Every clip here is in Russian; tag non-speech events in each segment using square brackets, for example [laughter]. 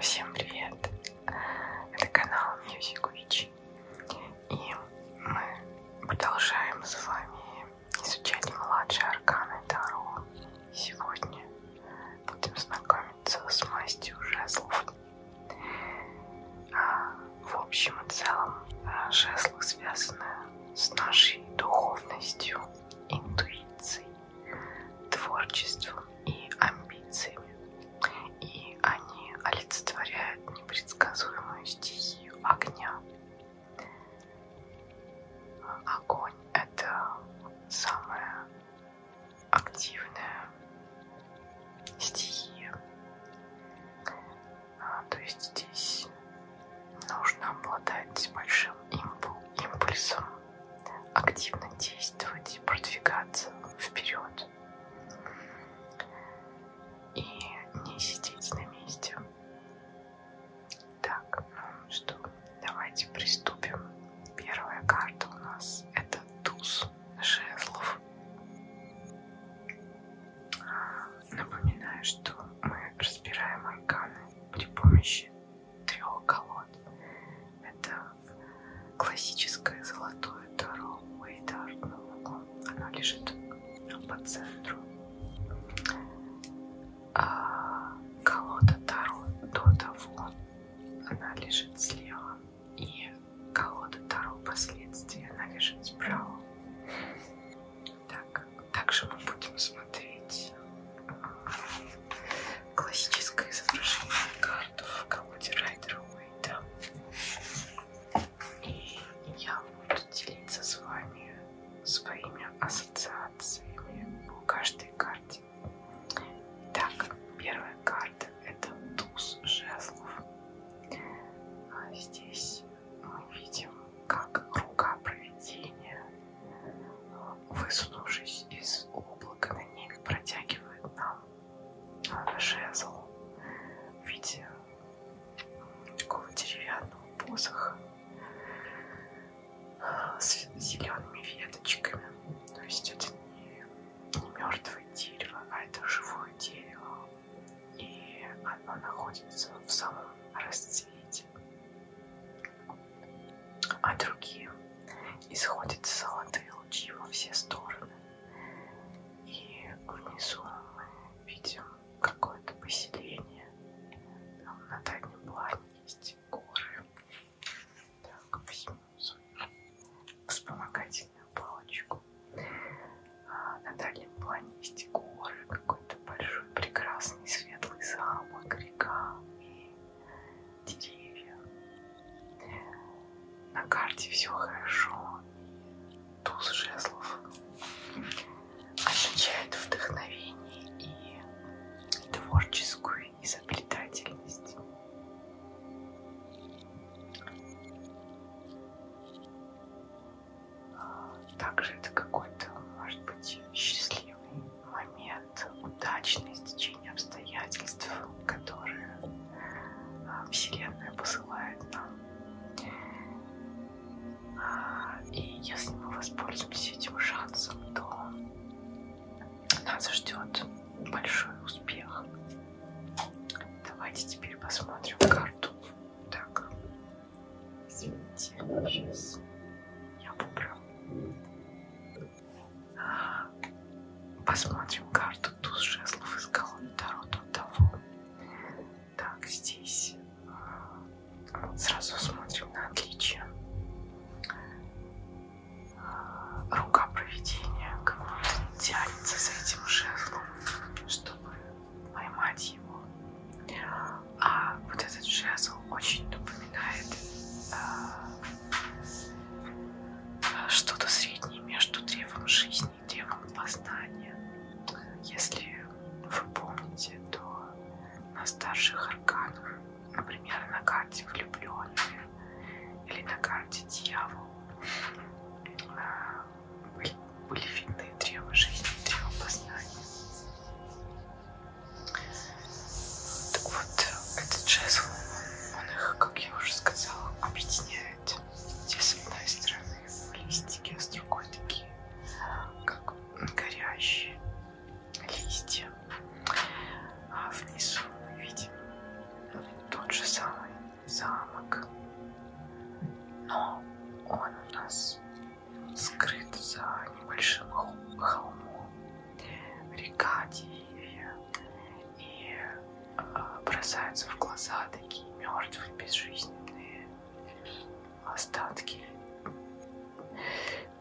Всем привет! Это канал Music Witch. И мы продолжаем с вами изучали младшие арканы Таро. И сегодня будем знакомиться с мастью жезлов. А, в общем и целом, а, жезлы связаны с нашей духовностью, интуицией, творчеством и амбициями. И они олицетворяют непредсказуемую стихию огня, Огонь — это самая активная стихия. А, то есть здесь нужно обладать большим импульсом, активно действовать, продвигаться вперед и не сидеть на месте. Так, ну что, давайте приступим. Первая карта у нас это туз жезлов. Напоминаю, что мы разбираем арканы при помощи трех колод. Это классическое золотое таро Уэйда Артнова. Оно лежит по центру а колода Таро до того, она лежит слева, и колода Таро последствия, она лежит справа. Так, также мы будем смотреть а, классическое изображение карту в колоде Райдера Уэйта. И я буду делиться с вами своими ассоциациями по каждой карте. Итак, первая карта это туз жезлов. А здесь мы видим, как рука провидения, высунувшись из облака на небе, протягивает нам а, жезл в виде такого деревянного посоха с зелеными веточками. То есть это не, не мертвое дерево, а это живое дерево. И оно находится в самом расцвете. А другие исходят золотые лучи во все стороны. И внизу мы видим какое-то поселение. Там на дальнем плане есть горы. Так, возьму свою вспомогательную палочку. А на дальнем плане есть горы, какой-то большой, прекрасный, светлый замок, река и деревья. На карте все хорошо. Туз жезлов означает вдохновение и творческую изобретательность. А, также это какой-то, может быть, счастливый момент, удачный стечение обстоятельств, которые а, Вселенная посылает нам. И если мы воспользуемся этим шансом, то нас ждет большой успех. Давайте теперь посмотрим карту. Так, извините, сейчас я поправлю. Посмотрим карту туз жезлов из колонны Таро Таро. Так, здесь э, сразу смотрим на отличие. Рука проведения как будто тянется за этим жезлом, чтобы поймать его. А вот этот жезл очень напоминает э, что-то среднее между древом жизни и древом познания. Если вы помните, то на старших арканах например, на карте влюбленные или на карте дьявол а, были, были видны древо жизни, древо познания. Так вот, этот жезл, он их, как я уже сказала, объединяет. Те с одной стороны листики, а с другой такие, как горящие листья. А внизу мы видим тот же самый замок, но он у нас скрыт за небольшим холмом. Река, деревья и а, бросаются в глаза такие мертвые, безжизненные остатки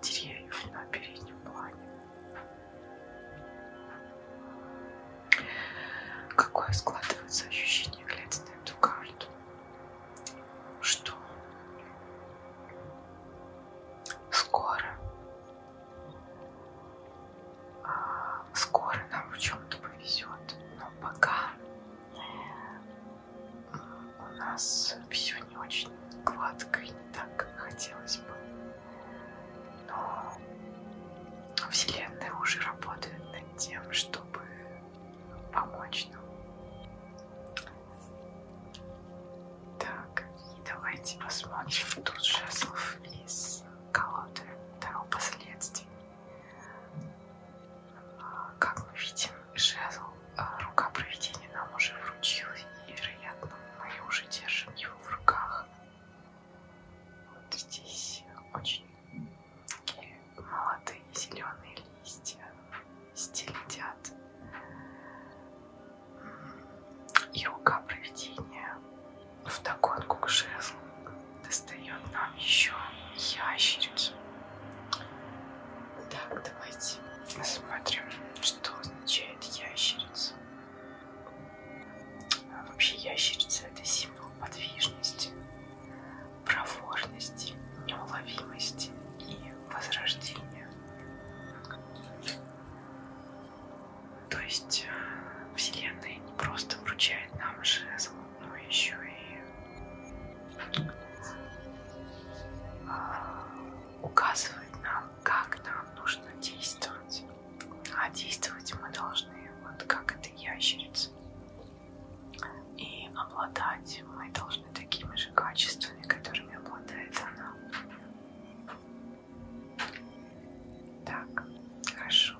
деревьев на переднем плане. Какое складывается ощущение, глядя на эту карту? Что скоро, а, скоро нам в чем-то повезет, но пока у нас все не очень гладко и не так, как хотелось бы. Но Вселенная уже работает над тем, чтобы помочь нам. Так, и давайте посмотрим тут жезлов из колоды Таро последствий. А, как мы видим, жезл а рука провидения нам уже вручилась, и, вероятно, мы уже держим его в руках. Вот здесь очень такие молодые зеленые листья стелетят. И рука провидения вдогонку к жезлу достает нам еще ящерицу. Так, давайте посмотрим, что означает ящерица. А вообще ящерица это символ подвижности, проворности, неуловимости и возрождения. То есть э, Вселенная не просто вручает нам жезл, но еще и а, указывает нам, как нам нужно действовать. А действовать мы должны, вот как эта ящерица. И обладать мы должны такими же качествами, которыми обладает она. Так, хорошо.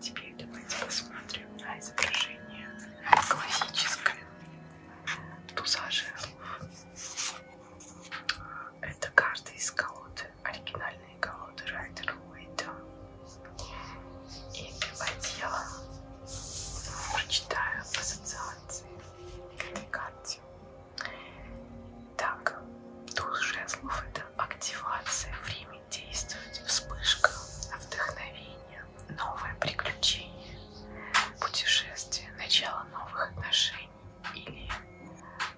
Теперь давайте посмотрим на изображение классическое туза жезлов. Это карты из колоды, оригинальные колоды Райдер Уэйта. И первое дело прочитаю ассоциации к этой карте. Так, туз жезлов это активация, время действовать, вспышка, вдохновение, новое приключение путешествие, начало новых отношений или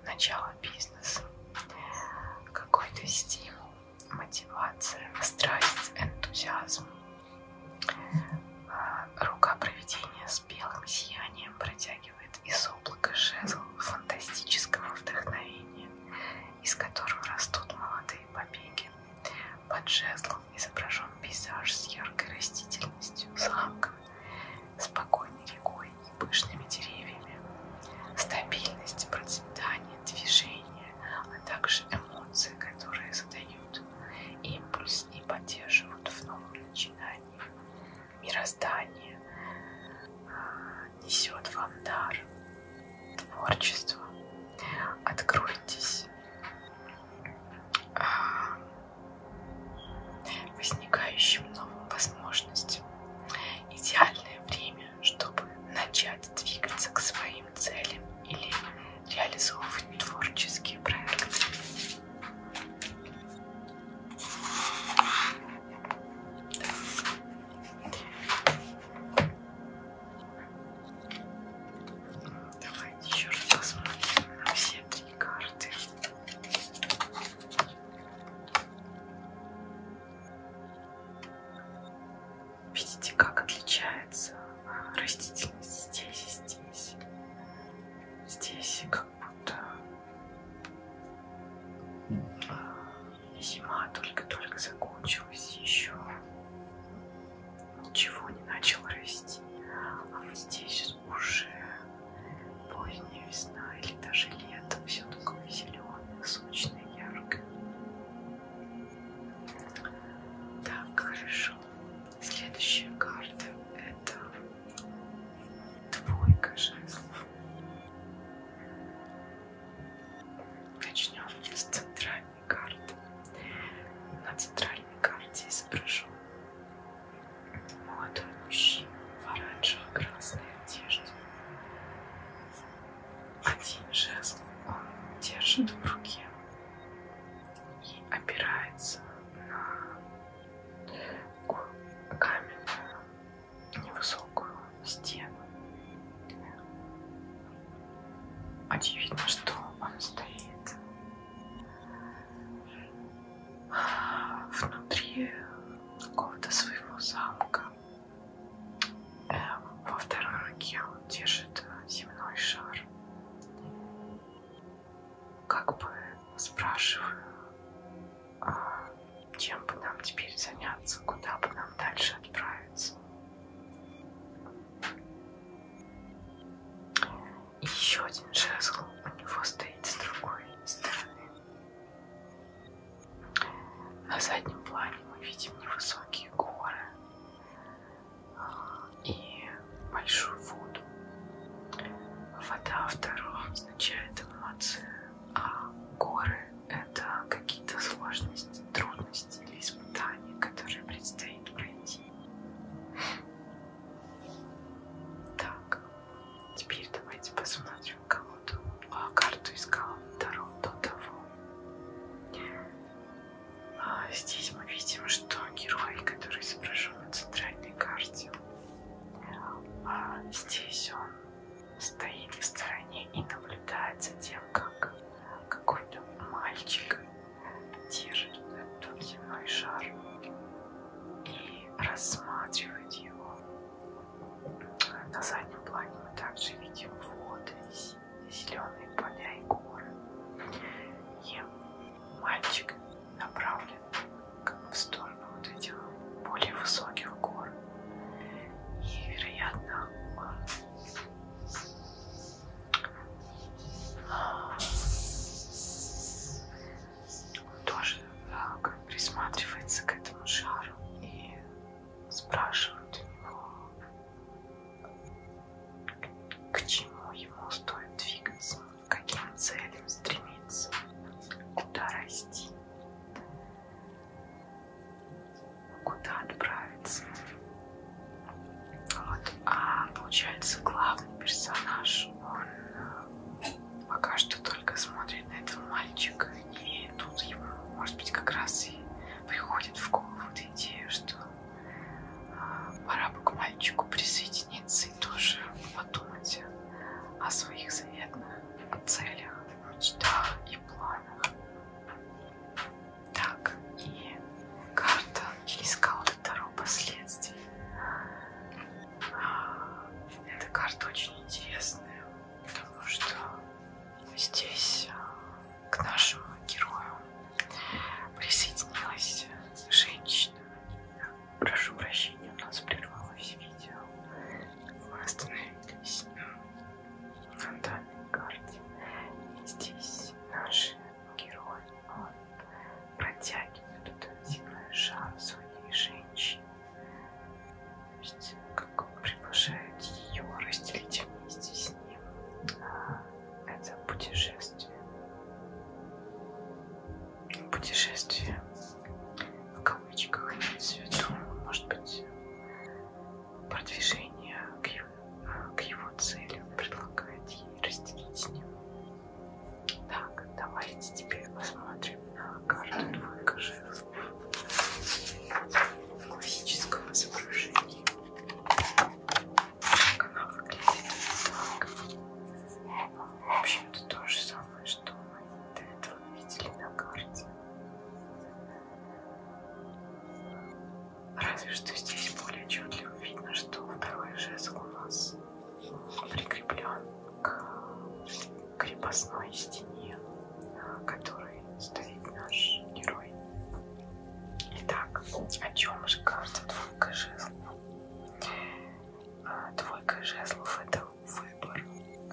начало бизнеса, какой-то стимул, мотивация, страсть, энтузиазм, а, рука проведения с белым сиянием протягивает из облака жезл фантастического вдохновения, из которого растут молодые побеги. Под жезлом изображен пейзаж с яркой растительностью, замком, спокойной рекой и пышными деревьями. Стабильность, процветание, движение, а также эмоции, которые задают импульс и поддерживают в новом начинании. Мироздание а, несет вам дар, творчество. Откройтесь а, возникающим новым возможностям. Идеальное время, чтобы начать двигаться к своим целям или реализовывать творческие проекты. Давайте еще раз посмотрим на все три такие карты. Видите, как отличается а, растительность здесь и здесь. Здесь как будто а, зима только-только закончилась, еще ничего не начало расти. А вот здесь сейчас уже поздняя весна или даже лето, все такое зеленое, сочное, яркое. Так, хорошо. Следующая карта это двойка жезлов. Начнем с центральной карты. На центральной карте изображен Молодой мужчина в оранжево-красной одежде. Один жезл он держит в руке и опирается на каменную невысокую стену. Очевидно, что он стоит внутри какого-то своего замка. Э, во второй руке он держит земной шар. Как бы спрашиваю, а чем бы нам теперь заняться, куда бы нам дальше отправиться. И еще один жезл у него стоит с другой стороны. На заднем плане мы видим невысокие горы а, и большую воду. Вода второго означает эмоции, а горы это какие-то сложности, трудности или испытания, которые предстоит пройти. Так. Теперь давайте посмотрим, кому-то а, карту искала второго до того. А, здесь мы видим, что герой, который изображен на центральной карте, а, здесь он стоит в стороне и наблюдает за тем, как какой-то мальчик держит этот земной шар или рассматривать его. На заднем плане мы также видим воды, зеленые поля и горы. И мальчик направлен как бы в сторону вот этих более высоких гор. И, вероятно, он тоже так, присматривается к этому шару и спрашивают у него, к чему ему стоит двигаться, к каким целям стремиться, куда расти, куда отправиться. Вот. А получается главный персонаж, он э, пока что только смотрит на этого мальчика, и тут ему, может быть, как раз и приходит в голову эта идея, что а, пора бы к мальчику присоединиться и тоже подумать о своих заветных целях, мечтах и планах. Так, и карта искала Таро последствий. Эта карта очень интересная, потому что здесь а, к нашему герою присоединилась женщина. Прошу прощения, у нас прервалось видео. Мы остановились на данной карте. И здесь наши герои он протягивает этот земной шар своей женщине. То есть, как он приглашает ее разделить вместе с ним а, это путешествие. Путешествие в кавычках имеется в виду, может быть, продвижение к его, к его цели предлагает ей разделить с ним так, давайте теперь посмотрим на карту двойка жезлов классического изображения. Так, она выглядит так. В общем-то, то же самое, что мы до этого видели на карте. Разве что здесь более отчетливо видно, что второй жезл у нас прикреплен к крепостной стене, на которой стоит наш герой. Итак, о чем же кажется двойка жезлов? А, двойка жезлов – это выбор,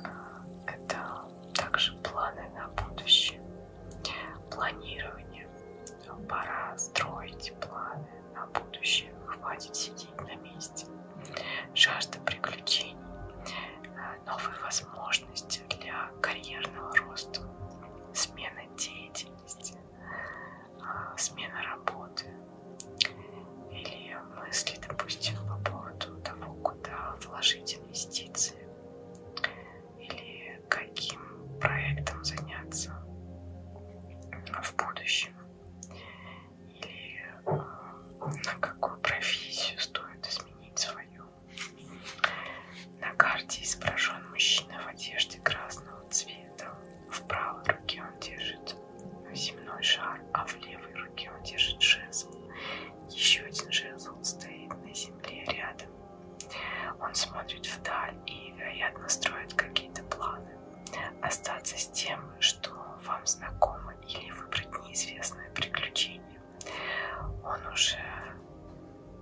а, это также планы на будущее, планирование. Пора строить планы, на будущее. Хватит сидеть на месте. Жажда приключений, э, новые возможности для карьерного роста, смена деятельности, э, смена работы или мысли, допустим, по поводу того, куда вложить инвестиции или каким проектом заняться в будущем и а, на какую профессию стоит изменить свою. На карте изображен мужчина в одежде красного цвета. В правой руке он держит земной шар, а в левой руке он держит жезл. Еще один жезл стоит на земле рядом. Он смотрит вдаль и, вероятно, строит какие-то планы. Остаться с тем, думаю, что вам знакомо или выбрать неизвестное приключение. Он уже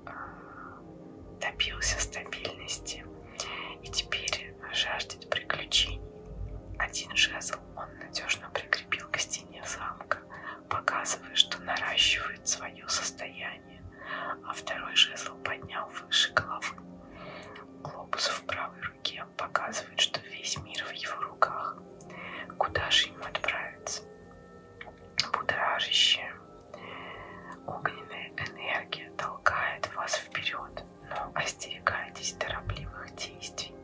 э, добился стабильности и теперь жаждет приключений. Один жезл он надежно прикрепил к стене замка, показывая, что наращивает свое состояние, а второй жезл поднял выше головы. Глобус в правой руке показывает, что весь мир в его руках. Куда же ему отправиться? Будоражащая огненная энергия толкает вас вперед, но остерегайтесь торопливых действий.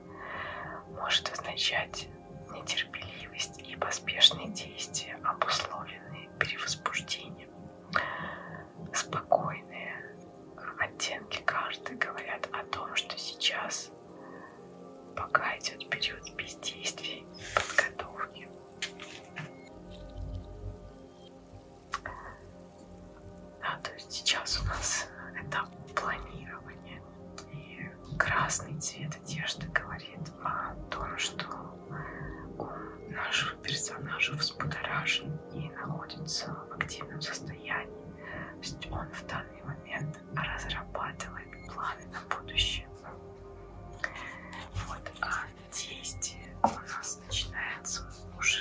Может означать нетерпеливость и поспешные действия, обусловленные перевозбуждением спокойные оттенки карты говорят о том, что сейчас пока идет период бездействий, подготовки. Да, то есть сейчас у нас этап планирования. И красный цвет одежды говорит о том, что ум нашего персонажа взбудоражен и находится в активном состоянии. То есть он в данный момент разрабатывает планы на будущее. Вот, а действие у нас начинается уже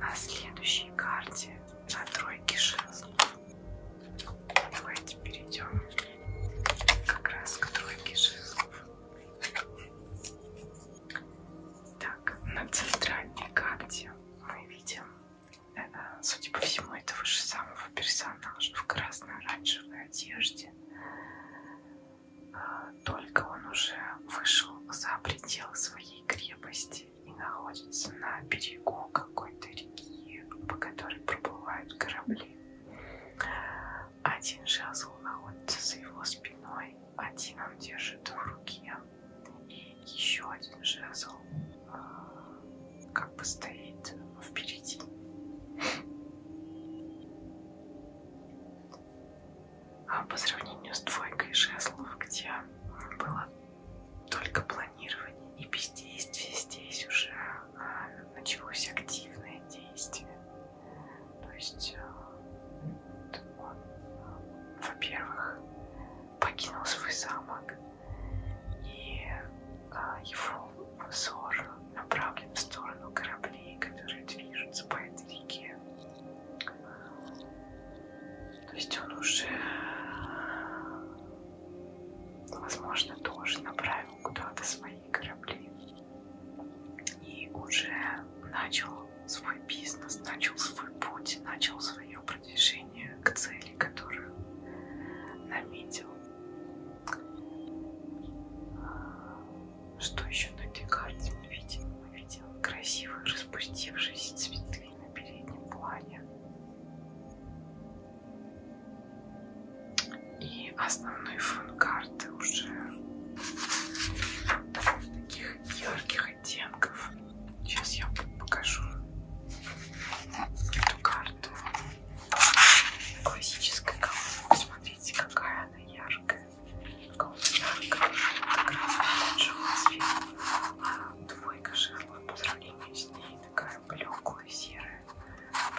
на следующей карте, на тройке жезлов. Давайте перейдем как раз к тройке жезлов. Так, на центральной карте мы видим, э, судя по всему, этого же самого персонажа в красно-оранжевой одежде. А, только он уже вышел за пределы своей крепости и находится на берегу какой-то реки, по которой проплывают корабли. Один жезл находится за его спиной, один он держит в руке. Еще один жезл а, как бы стоит впереди. А по сравнению с двойкой жезлов, где было только планирование и бездействие, здесь уже а, началось активное действие. То есть, а, во-первых, покинул свой замок, и а, его взор направлен в сторону кораблей, которые движутся по этой реке. То есть он уже, возможно, тоже направил куда-то свои корабли и уже начал свой бизнес, начал свой путь, начал свое продвижение к цели, которую наметил. А, что еще на этой карте мы видим? Мы видим красивые распустившиеся цветы на переднем плане. И основной фон карты уже таких ярких разных оттенков. Сейчас я покажу эту карту. Классическая колонка. Смотрите, какая она яркая. Яркая. Как раз цвет. А двойка жирла по сравнению с ней такая блеклая, серая.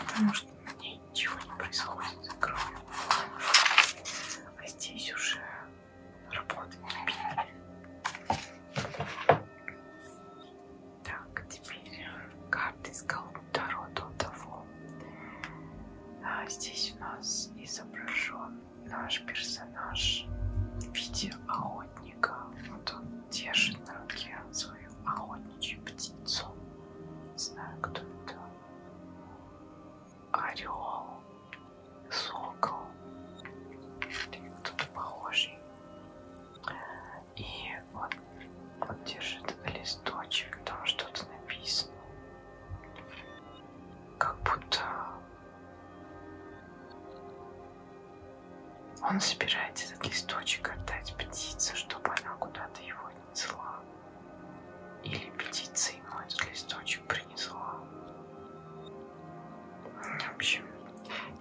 Потому что на ней ничего не происходит, кроме планов. А здесь уже работать. Так, теперь э, карты с колдура до того. А здесь у нас изображен наш персонаж в виде охотника. Вот он держит на руке свою охотничью птицу. Не знаю, кто это. Орел сокол или кто-то похожий. И вот он, он держит листочек, там что-то написано. Как будто он собирается этот листочек отдать птице, чтобы она куда-то его не несла. Или птица ему этот листочек принесла. В общем,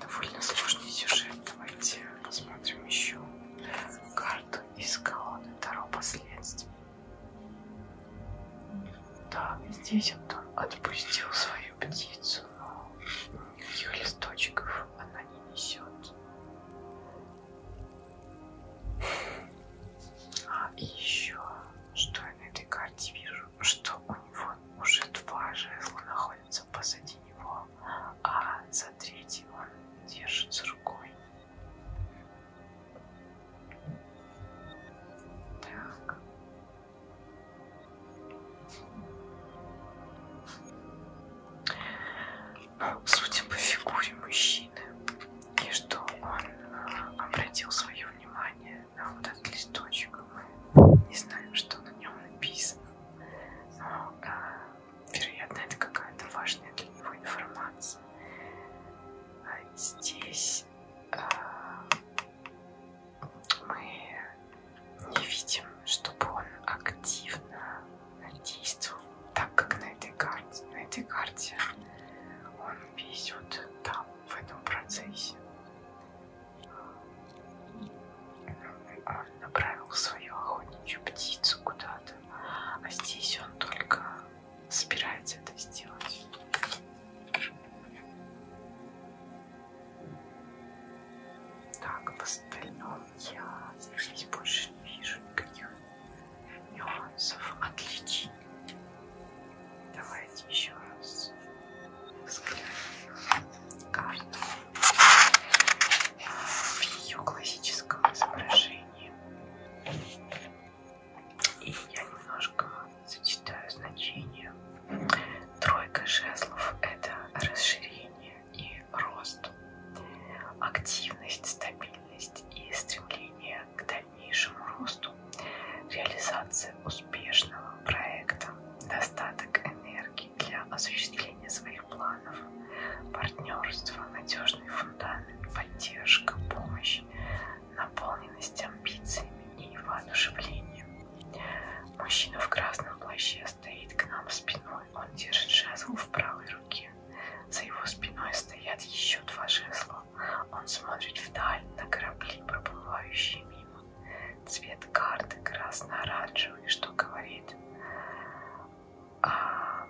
довольно сложный сюжет. Давайте посмотрим еще карту из колонны Таро последствий. Да, здесь он отпустил свою птицу, но ее листочков она не несет. А еще, что я на этой карте вижу? что у него уже два жезла находятся позади него, а за третий он держится рукой. Так. Судя по фигуре мужчины, и что он э, обратил свое внимание а вот этот листочек мы не знаем, что на нем написано. Но, а, вероятно, это какая-то важная для него информация. А здесь а, мы не видим, чтобы он активно действовал, так как на этой карте. На этой карте он везет там, в этом процессе. Он направил свою охотничью птицу куда-то, а здесь он только собирается это сделать. Так, в остальном я здесь больше не вижу никаких нюансов, отличий. Давайте еще раз взглянем карту в ее классическом изображении. И я немножко зачитаю значение. Тройка жезлов – это расширение и рост, активность, стабильность и стремление к дальнейшему росту, реализация успеха успешного проекта, достаток энергии для осуществления своих планов, партнерство, надежный фундамент, поддержка, помощь, наполненность амбициями и воодушевлением. Мужчина в красном плаще стоит к нам спиной, он держит жезл в правой руке. За его спиной стоят еще два жезла. Он смотрит вдаль на корабли, проплывающие мимо. Цвет карты красно-оранжевый, что говорит а,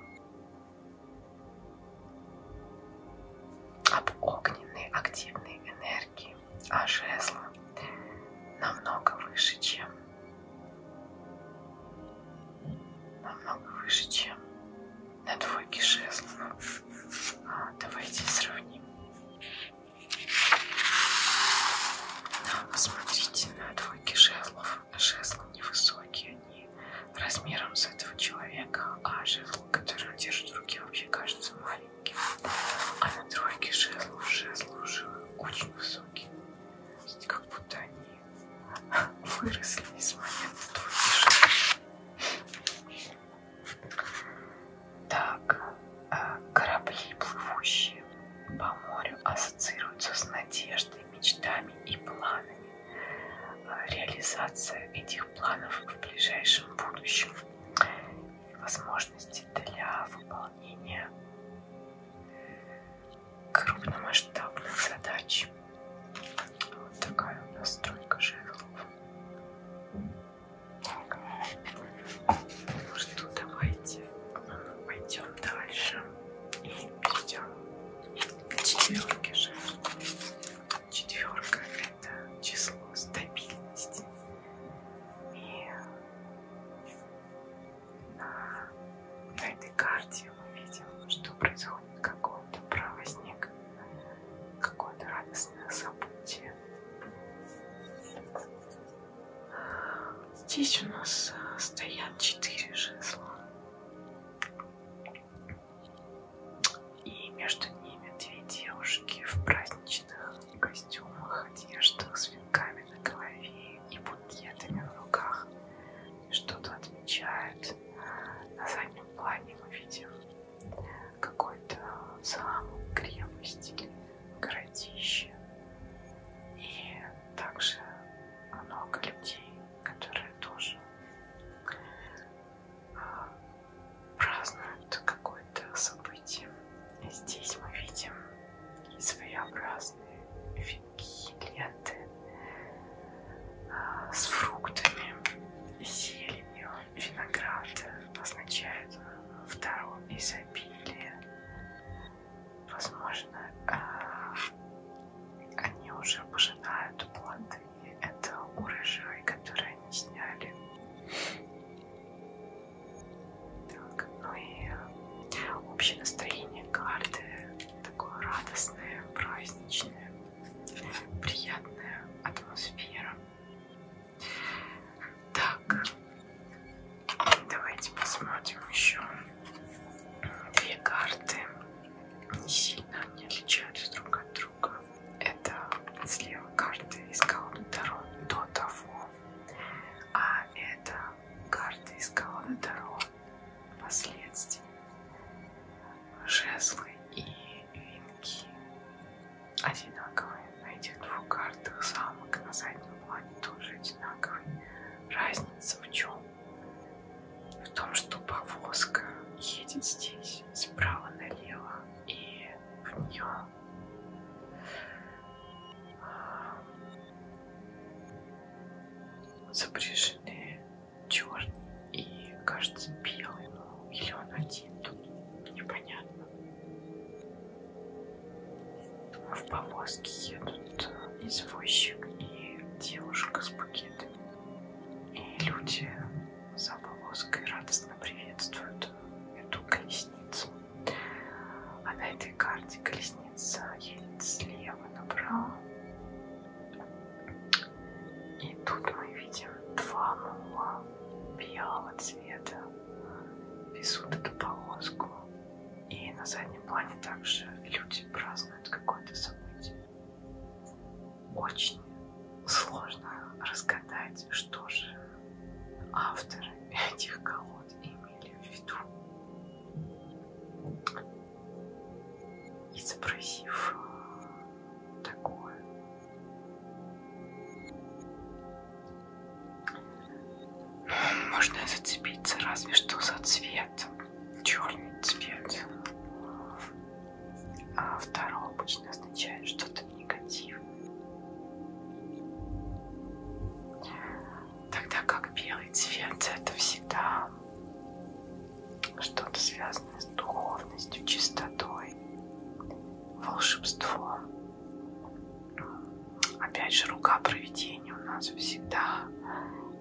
об огненной активной энергии, а жезла намного выше, чем намного выше, чем на двойке жезлов. А, давайте сравним. Посмотрите на двойки жезлов. Жезлы невысокие, они размером с этого человека, а жезл, который держит в руке, вообще кажется маленьким. А на тройке жезлов жезлы уже очень высокие. Как будто они выросли из момента двойки жезлов. Так, э, корабли, плывущие по морю, ассоциируются с надеждой, мечтами и планами. Э, реализация этих планов в ближайшем будущем и возможности для выполнения крупномасштабных задач. Вот такая у нас стройка жезлов. Ну что, давайте пойдем дальше и перейдем к четверке же. Четверка это число стабильности. И на, на этой карте мы видим, что происходит какой-то правозник, какое-то радостное событие. Здесь у нас э, стоят четыре жезла. И между ними две девушки в праздничных костюмах, одеждах, с венками на голове и букетами в руках. Что-то отмечают. На заднем плане мы видим какой-то замок, крепость или городище. И также много людей, которые тоже а, празднуют какое-то событие. И здесь мы видим своеобразные венки, ленты а, с фруктами, зеленью, виноград означает в дару изобилия. Возможно, э, они уже пожинают плоды этого урожая, который они сняли. Так, ну и э, общее настроение карты такое радостное, праздничное, приятная атмосфера. Так, давайте посмотрим еще две карты. Не сильно они отличаются друг от друга. Это слева карты из колоды Таро до того, а это карты из колоды Таро последствий. Жезлы и венки одинаковые. На этих двух картах замок на заднем плане тоже одинаковый. Разница в чем? В том, что повозка едет здесь справа налево, и в нее а, запряжены черный и, кажется, белый, ну, или он один, тут непонятно. В повозке едут э, извозчик и девушка с букетами. И люди за повозкой радостно приветствуют эту колесницу. А на этой карте колесница едет слева направо. И тут мы видим два мула белого цвета везут эту повозку. И на заднем плане также люди празднуют какое-то событие. Очень сложно разгадать, что же авторы [laughs] этих колод имели в виду. Изобразив э, такое, можно зацепиться разве что за цвет. Черный цвет. А второй обычно означает что-то негативное. Тогда как белый цвет это всегда что-то связанное с духовностью, чистотой, волшебством. Опять же, рука проведения у нас всегда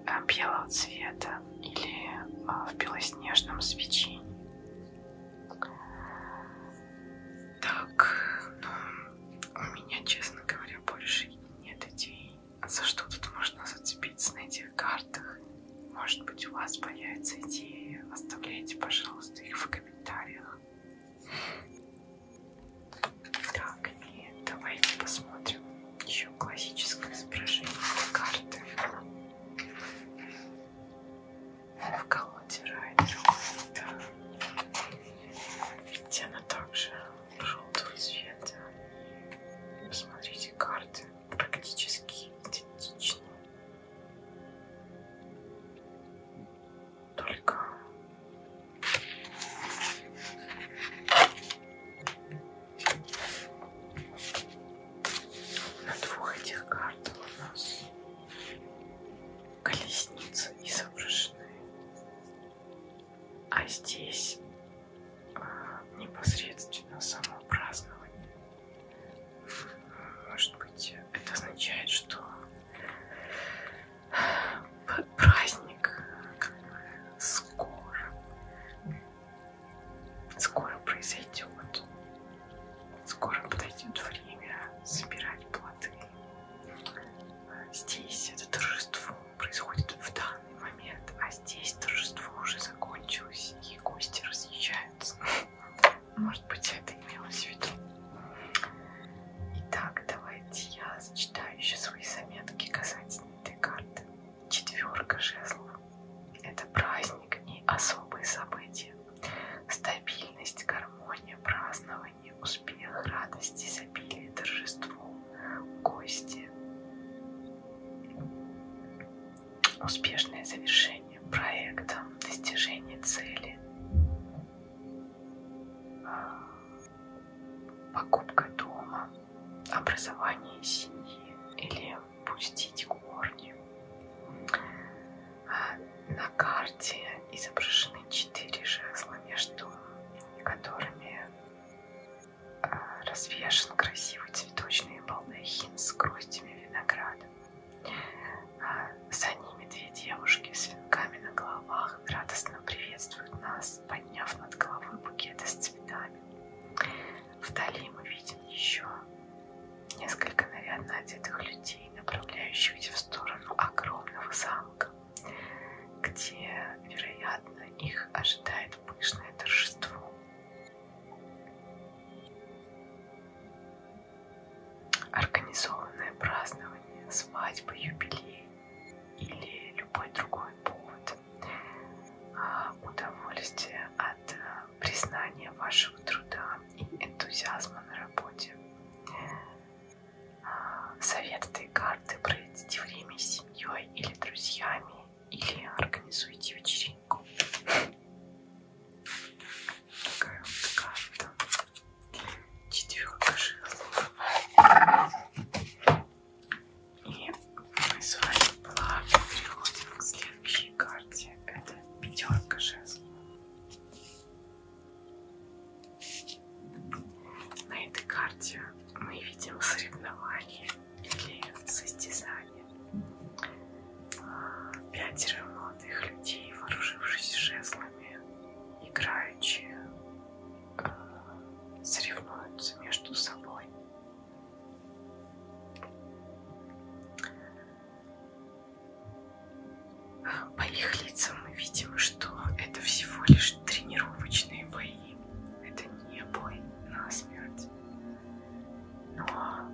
э, белого цвета или а, в белоснежном свечении. Так, ну, у меня, честно говоря, больше нет идей, а за что тут можно зацепиться на этих картах. Может быть, у вас появится идея. Оставляйте, пожалуйста, их в комментариях. Так, и давайте посмотрим еще классическое изображение карты. В колоде Райдера Ведь она также желтого цвета. Посмотрите, карты практически идентичны только на двух этих картах у нас колесницы изображены, а здесь а, непосредственно само празднование. Может быть, это означает, что праздник скоро, скоро произойдет, скоро подойдет время собирать плоды. Здесь это торжество происходит в данный момент, а здесь торжество уже закончилось и гости разъезжаются. Может быть, это имелось в виду. Итак, давайте я зачитаю еще свои заметки касательно этой карты. Четверка жезлов. Это праздник и особые события. Стабильность, гармония, празднование, успех, радость, изобилие, торжество, гости. Успешное завершение проекта, достижение цели, покупка дома, образование семьи или пустить корни. А, на карте изображены четыре жезла, между которыми а, развешен красивый цветочный балдахин с гроздями винограда. А, за ними две девушки с венками на головах радостно приветствуют нас, подняв над головой букеты с цветами. Вдали мы видим еще несколько нарядно одетых людей, направляющихся в сторону огромного замка, где, вероятно, их ожидает пышное торжество. Организованное празднование, свадьбы, юбилей или любой другой повод. А, удовольствие от э, признания вашего труда и энтузиазма на работе. А, советы карты проведите время с семьей или друзьями, или организуйте вечеринку. Такая вот карта четверка жезлов. И мы с вами плавно переходим к следующей карте. Это пятерка жезлов. На этой карте мы видим соревнования или состязания. Пятеро молодых людей, вооружившись жезлами, играющие соревнуются между собой. По их лицам мы видим, что это всего лишь тренировочные бои. Это не бой на смерть. Но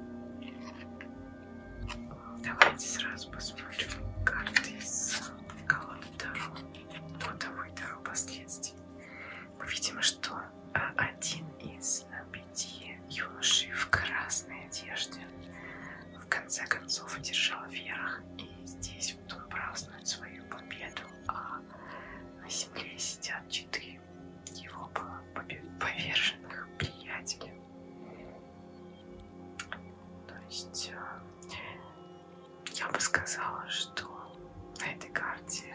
давайте сразу посмотрим карты из колонны Таро по тому и дару последствий. Мы ну, видим, что а, один из а, пяти юношей в красной одежде в конце концов одержал верх и здесь потом празднует свою победу, а на земле сидят четыре его поверженных приятеля. То есть э, я бы сказала, что на этой карте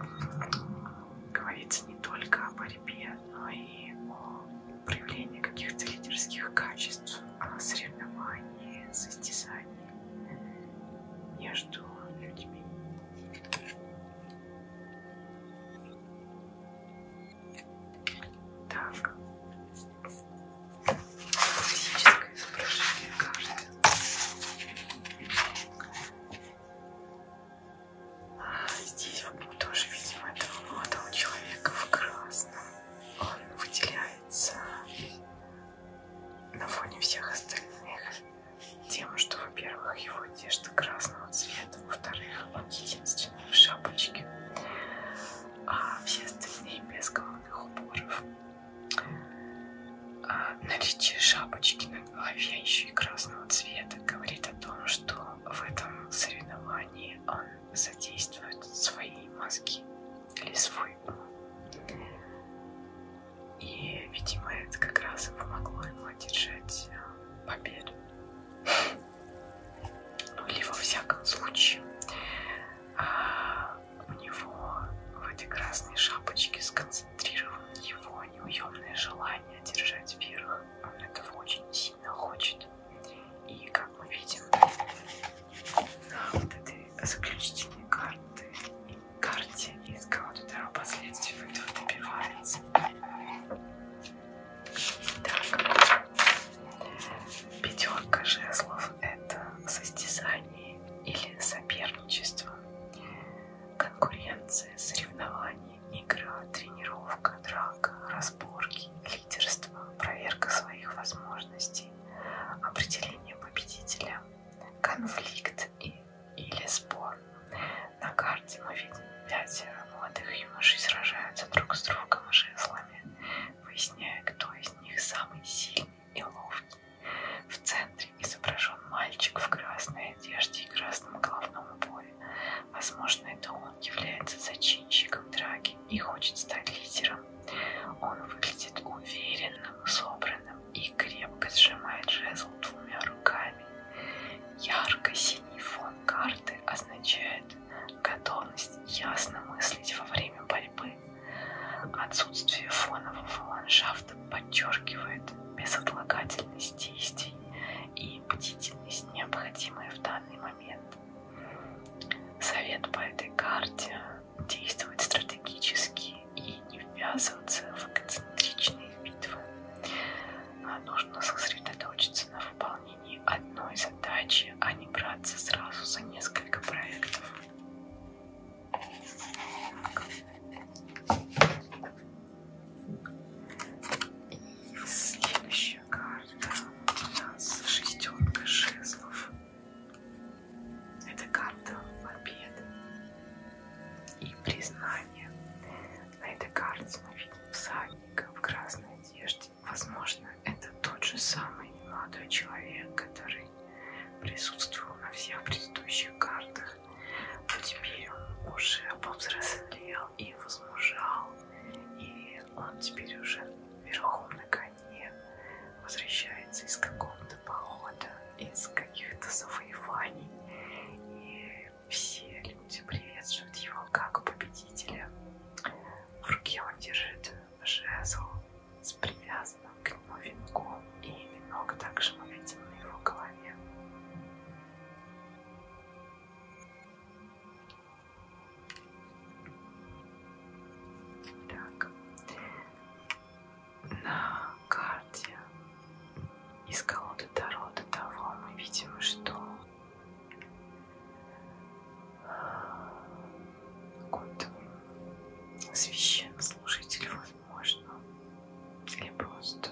э, говорится не только о борьбе, но и о проявлении каких-то лидерских качеств, о а соревновании, состязании между людьми. Так. Классическое изображение, кажется. А, здесь вот тоже, видимо, этого молодого человека в красном. Он выделяется на фоне всех остальных тем, что, во-первых, его одежда красного цвета, во-вторых, он единственный в шапочке, а все остальные без головных уборов. А наличие шапочки на голове еще и красного цвета говорит о том, что в этом соревновании он задействует свои мозги или свой ум. И, видимо, это как раз и помогло ему одержать а, победу. Ну, или во всяком случае, а, у него в этой красной шапочке сконцентрировано его неуемное желание держать вверх. Он этого очень сильно хочет. И как мы видим, на вот этой заключительной карты, карте из колоды Таро последствий этого добивается. Так, Пятерка жезлов – это состязание или соперничество, конкуренция, соревнования, игра, тренировка, драка, разборки, лидерство, проверка своих возможностей, определение победителя, конфликт и, или спор. На карте мы видим пятеро молодых юношей сражаются друг с другом жезлами выясняя, кто из них самый сильный и ловкий. В центре изображен мальчик в красной одежде и красном головном уборе. Возможно, это он является зачинщиком драки и хочет стать лидером. Он выглядит уверенным, собранным и крепко сжимает жезл двумя руками. Ярко-синий фон карты означает, готовность ясно мыслить во время борьбы. Отсутствие фонового ландшафта подчеркивает безотлагательность действий и бдительность, необходимые в данный момент. Совет по этой карте – действовать стратегически и не ввязываться в эксцентричные битвы. Нужно сосредоточиться на выполнении одной задачи, а не браться сразу за несколько проектов. И следующая карта у нас шестерка жезлов. Это карта победы и признания. На этой карте мы видим всадника в красной одежде есть, возможно, это тот же самый молодой человек, который присутствовал на всех предыдущих картах, но теперь он уже повзрослел и возмужал, и он теперь уже верхом на коне возвращается из какого-то похода, из каких-то завоеваний, и все люди приветствуют его как победителя. В руке он держит жезл с привязанным к нему венком, и венок также мы видим на его голове. Так, на карте из колоды Таро до того мы видим, что Год священнослужитель, возможно, или просто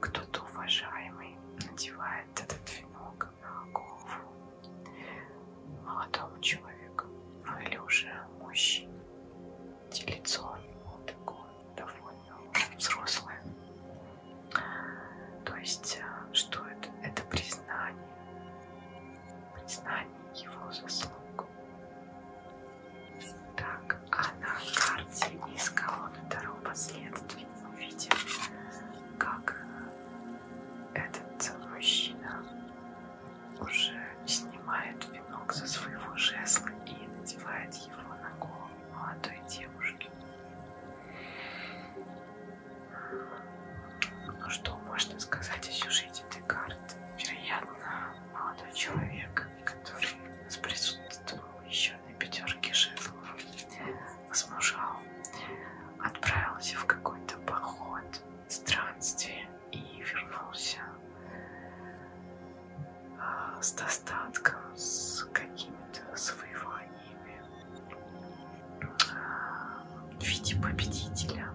кто-то уважаемый надевает этот венок на голову молодому человеку, ну или уже мужчине. Лицо ну, такое довольно взрослое. То есть, э, что это? Это признание признание его заслуг. Так, а на карте из колонны второго последствий увидим, как этот мужчина уже снимает венок со своего жезла и надевает его на голову молодой девушки. Ну что можно сказать о сюжете Декарта? Вероятно, молодой человек, который присутствовал еще на пятерке жезлов, возмужал, отправился в какой-то поход, странствие и вернулся а, с достатком, с какими-то завоеваниями в виде победителя.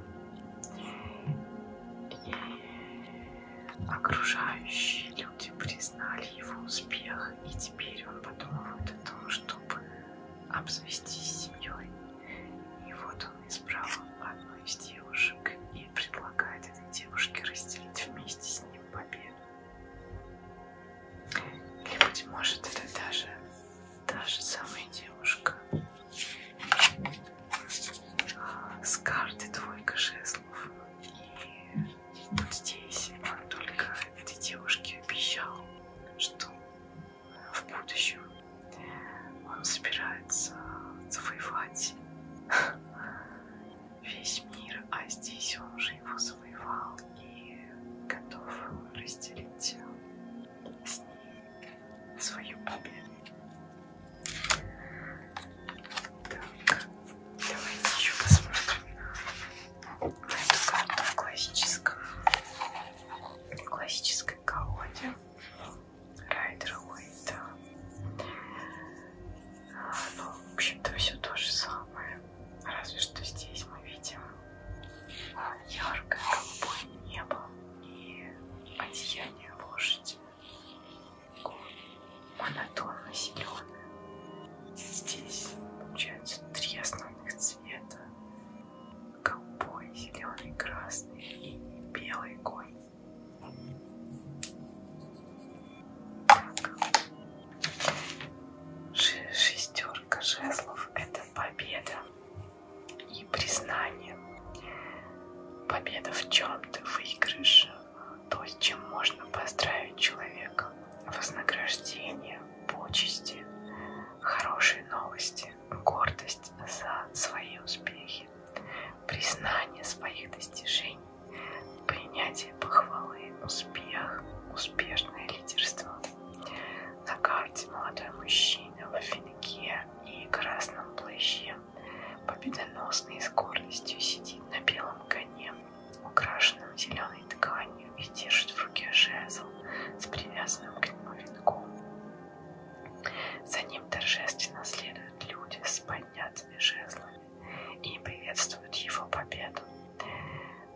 И окружающие люди признали его успех, и теперь он подумывает о том, чтобы обзавестись семьей. И вот он избрал одну из девушек и предлагает этой девушке разделить вместе с ним победу. Или, быть может, это даже та же самая девушка. С карты двойка жезлов. И вот здесь он только этой девушке обещал, что в будущем он собирается завоевать весь мир, а здесь он уже его завоевал и готов разделить с ней свою победу. Так, давайте еще посмотрим на ну, эту карту в классическом, в классической колоде Райдера Уэйта. А, ну, в общем-то, все то же самое. Разве что здесь мы видим а, яркое голубое небо и одеяние лошади. Монотонно зеленое. Здесь получается три основных цвета. Голубой, зеленый, красный и белый конь. Так. Шестерка жезлов это победа и признание. Победа в чем-то, выигрыш, то, с чем можно поздравить человека. Вознаграждение, почести, хорошие новости, гордость за свои успехи, признание своих достижений, принятие похвалы, успех, успешное лидерство. На карте молодой мужчина в финке и красном плаще победоносно и с гордостью сидит на белом коне, украшенном зеленой тканью и держит в руке жезл с привязанным к нему венком. За ним торжественно следуют люди с поднятыми жезлами и приветствуют его победу.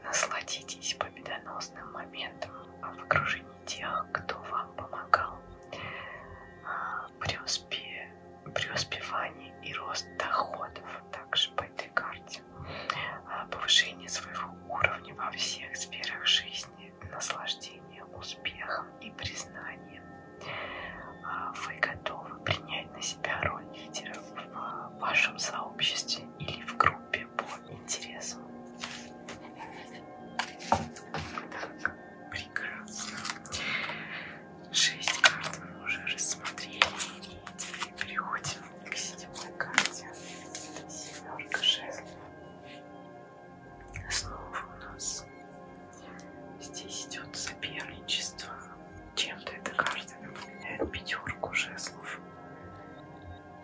Насладитесь победоносным моментом а в окружении тех, кто вам помогал а, при, успе... при успевании и рост доходов, также по этой карте, а, повышение своего уровня во всех сферах жизни, наслаждение успехом и признанием. А, вы готовы принять на себя роль лидера в вашем сообществе или в группе тебе по интересу. Так, прекрасно. Шесть карт мы уже рассмотрели. И теперь переходим к седьмой карте. Это семерка жезлов. Снова у нас здесь идет соперничество. Чем-то эта карта напоминает пятерку жезлов.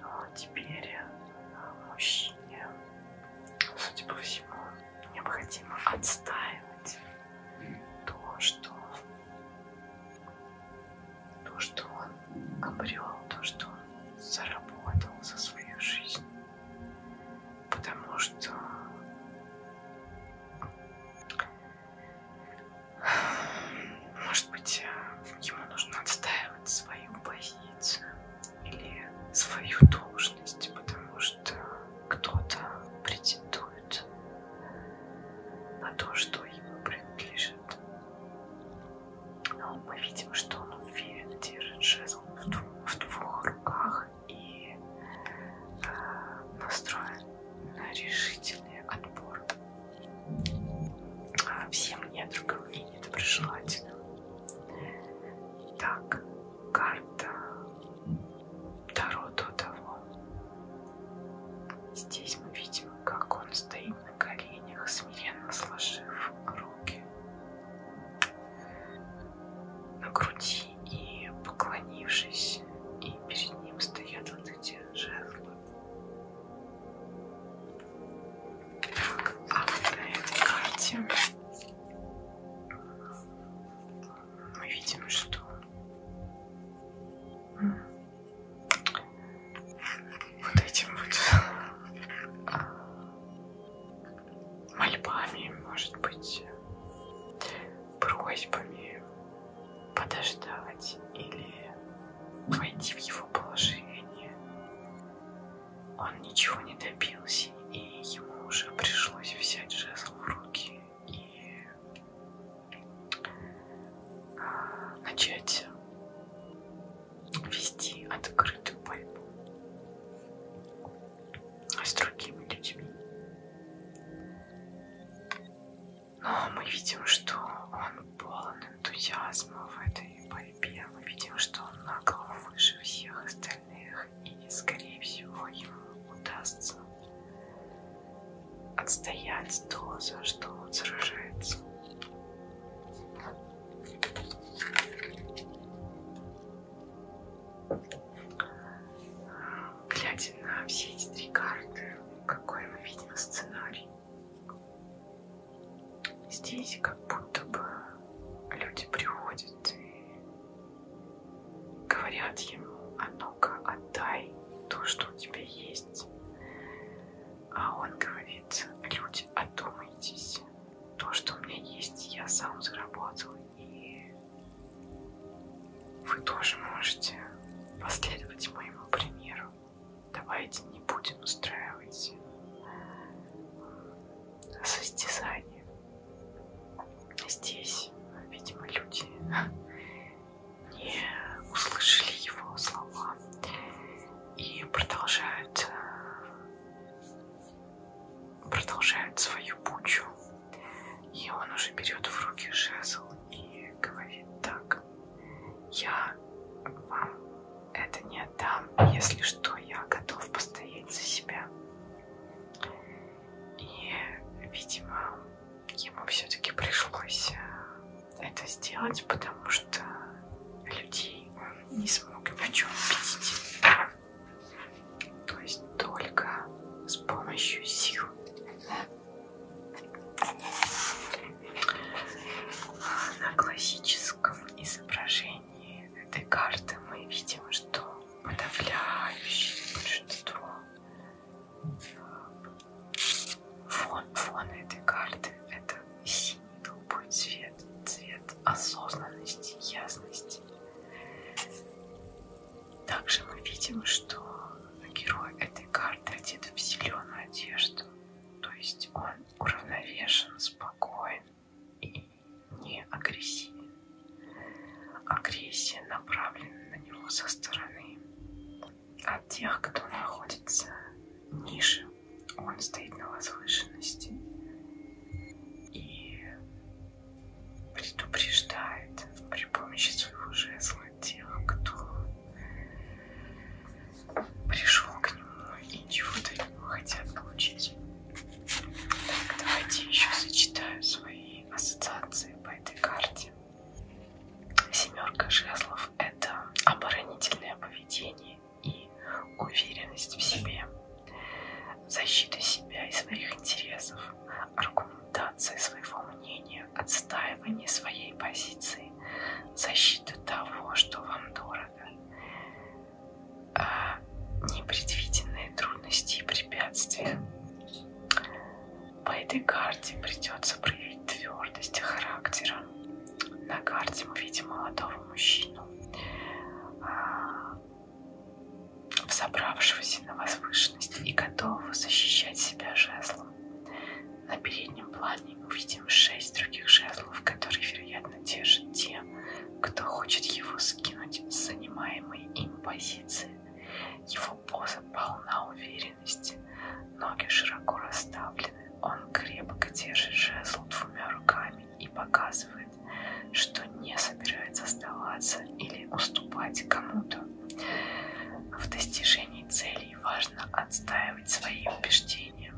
А теперь а, мужчине судя по всему, необходимо отстаивать то, что, то, что он обрел, то, что он заработал за свою жизнь. Потому что может быть, ему нужно отстаивать свою позицию или свою должность, потому что кто-то претендует на то, что ему принадлежит. Но мы видим, что он уверенно держит жезл в, дву в двух руках и э, настроен на решительный отбор а всем недругам и недоброжелательно. Так, карта Таро до того. Здесь мы видим, как он стоит на коленях, смиренно сложив руки на груди и поклонившись, и перед ним стоят вот эти жезлы. Так, а на карте мы видим, что вот этим вот мольбами, может быть, просьбами подождать или войти в его положение он ничего не добился, и ему уже пришлось взять жезл в руки и а, начать вести открытую борьбу с другими людьми. Но мы видим, что он полон энтузиазма в этой борьбе и Бен увидел, что он на голову выше всех остальных и, скорее всего, ему удастся отстоять то, за что он сражается. Глядя на все эти три карты, какой мы видим сценарий? Здесь как будто бы люди приходят и говорят ему, а ну-ка отдай то, что у тебя есть. А он говорит, люди, одумайтесь. То, что у меня есть, я сам заработал. И вы тоже можете последовать моему примеру. Давайте не будем устраивать состязание. Здесь, видимо, люди не услышали его слова и продолжают, продолжают свою пучу. И он уже берет в руки жезл и говорит так. Я вам это не отдам. Если что, я готов постоять за себя. И, видимо, ему все-таки пришлось э, это сделать, потому что людей он не смог ни о чем убедить. То есть только с помощью сил. На классическом изображении изменении этой карты мы видим, что подавляющее большинство э, фон, фон этой карты это синий голубой цвет, цвет осознанности, ясности. Также мы видим, что герой этой карты одет в зеленую одежду, то есть он уравновешен, спокоен, и не агрессивен. Агрессия направлена на него со стороны. От тех, кто находится ниже, он стоит на возвышенности и предупреждает при помощи своего жезла тех, кто пришел к нему и чего-то от него хотят получить. Так, давайте еще сочетаю свои ассоциации по этой карте. Семерка жезлов – это оборонительное поведение и уверенность в себе, защита себя и своих интересов, аргументация своего мнения, отстаивание своей позиции, защита того, что вам дорого. Э, непредвиденные трудности и препятствия. По этой карте придется проявить твердость характера. На карте мы видим молодого мужчину, э, взобравшегося на возвышенность и готового защищать себя жезлом. На переднем плане мы видим шесть других жезлов, которые, вероятно, держат тему те, кто хочет его скинуть с занимаемой им позиции. Его поза полна уверенности, ноги широко расставлены, он крепко держит жезл двумя руками и показывает, что не собирается сдаваться или уступать кому-то. В достижении целей важно отстаивать свои убеждения.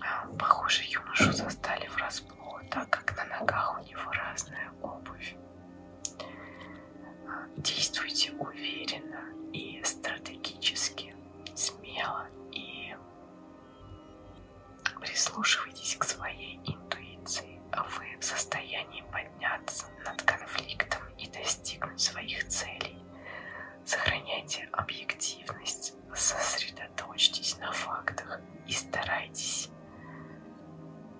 А, похоже, юношу застали в раз уснул, так как на ногах у него разная обувь. А, действуйте уверенно и стратегически, смело и прислушивайтесь к своей интуиции. Вы в состоянии подняться над конфликтом и достигнуть своих целей. Сохраняйте объективность, раз сосредоточьтесь на фактах и старайтесь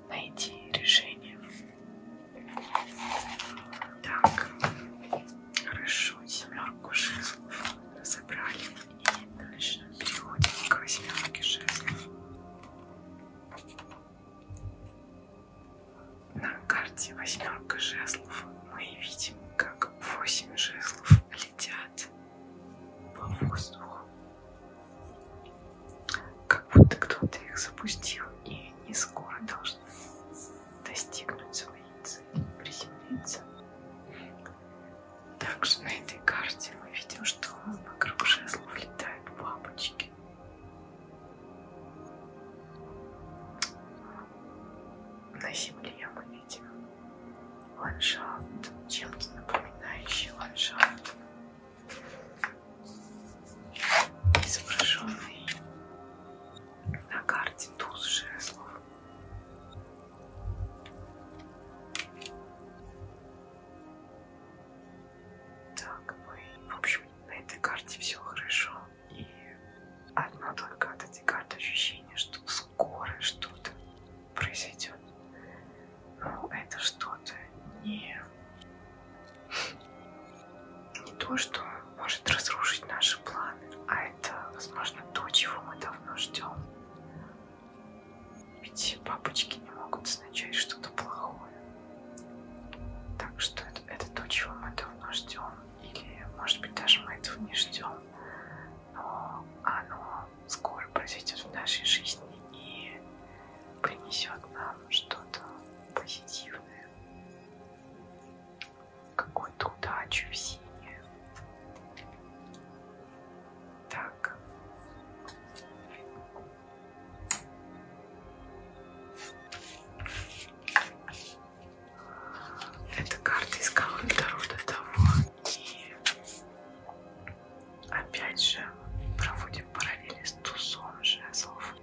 найти решение. Так, хорошо, семерку жезлов разобрали. И дальше переходим к восьмерке жезлов. На карте восьмерка жезлов мы видим, как восемь жезлов летят по воздуху, как будто кто-то их запустил, и они скоро должны достигнуть своей цели, приземлиться. Также на этой карте мы видим, что вокруг жезлов летают бабочки. На земле мы видим ландшафт, чем-то напоминающий ландшафт, изображенный на карте туз жезлов. Так, мы, в общем, на этой карте все хорошо, и одно только от этой карты ощущение, что скоро что-то произойдет. Но ну, это что-то не... не то, что может разрушить наши планы, а это, возможно, то, чего мы давно ждем. Ведь бабочки не могут означать что-то плохое. Так что это, это то, чего мы давно ждем. Или, может быть, даже мы этого не ждем. Но оно скоро произойдет в нашей жизни и принесет нам что-то позитивное, какую-то удачу, весеннее. Так. Это карта из колонны народа того, Опять же, проводим параллели с тузом жезлов.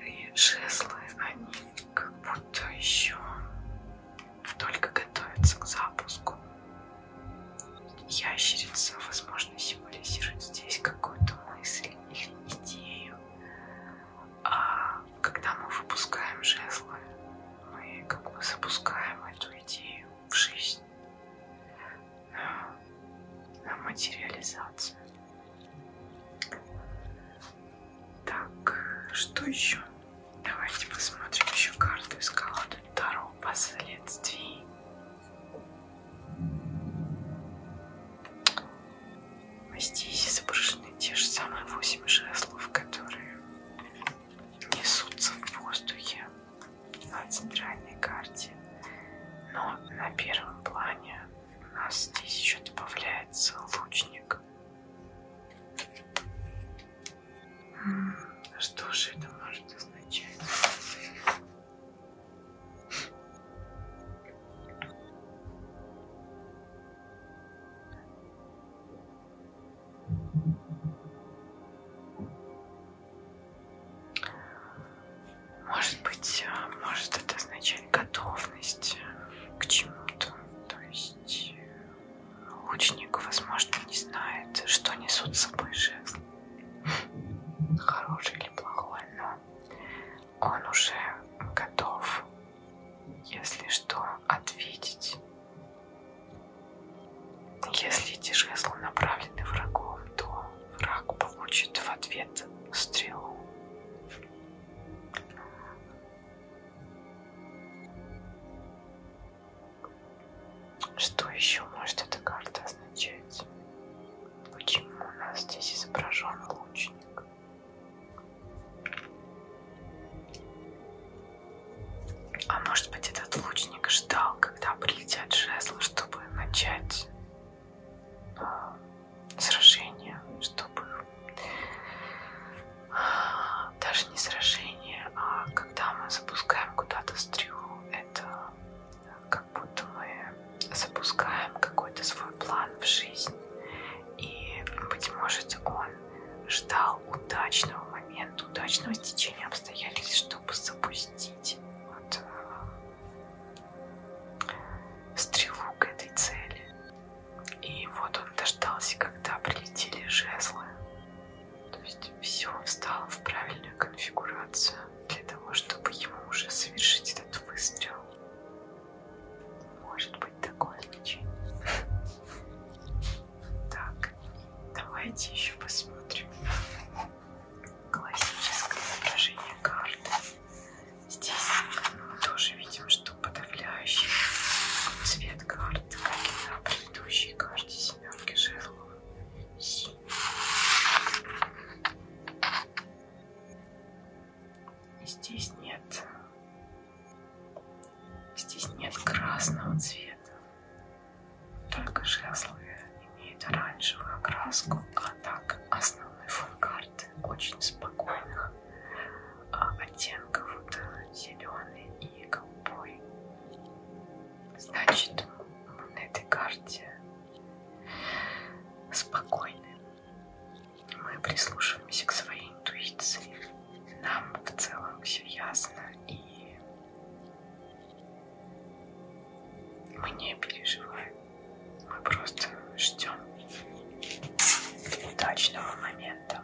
И жезлы, они как будто еще только готовятся к запуску. Ящерица, возможно, символизирует здесь какую-то мысль или идею, а когда мы выпускаем жезлы, мы как бы запускаем эту идею в жизнь, на, на материализацию. Так, что еще? Давайте посмотрим еще карту из колоды Таро последствий. Мастихи изображены те же самые восемь жезлов, которые несутся в воздухе на центральной карте. Но на первом плане у нас здесь еще добавляется лучник. Что же это может означать? Может быть, э, может это означать готовность к чему-то. То есть лучник, э, возможно, не знает, что несут с собой жезл. Хороший или плохой, но он уже готов, если что, ответить. Если эти жезлы направлены врагом, то враг получит в ответ стрелу. Что еще может эта карта означать? Почему у нас здесь изображен лучник? А может быть, этот лучник ждал, когда прилетят жезлы, чтобы начать а, сражение, чтобы а, даже не сражение, а когда мы запускаем куда-то стрелу, это как будто мы запускаем какой-то свой план в жизнь. И, быть может, он ждал удачного момента, удачного стечения обстоятельств, чтобы запустить вот, э, стрелу к этой цели. И вот он дождался, когда прилетели жезлы. То есть все встало в правильную конфигурацию для того, чтобы ему уже совершить этот выстрел. Может быть такое значение. Так, давайте еще посмотрим классическое изображение карты. Здесь мы тоже видим, что подавляющий цвет карты, как и на предыдущей карте семерки жезлов, синий. Здесь нет Здесь нет красного цвета, только жезлы имеют оранжевую окраску, а так основной фон карты очень спокойных а, оттенков, зеленый и голубой. Значит, мы на этой карте спокойны. Мы прислушиваемся к своей интуиции. Нам в целом все ясно, и мы не переживаем. Мы просто ждем удачного момента.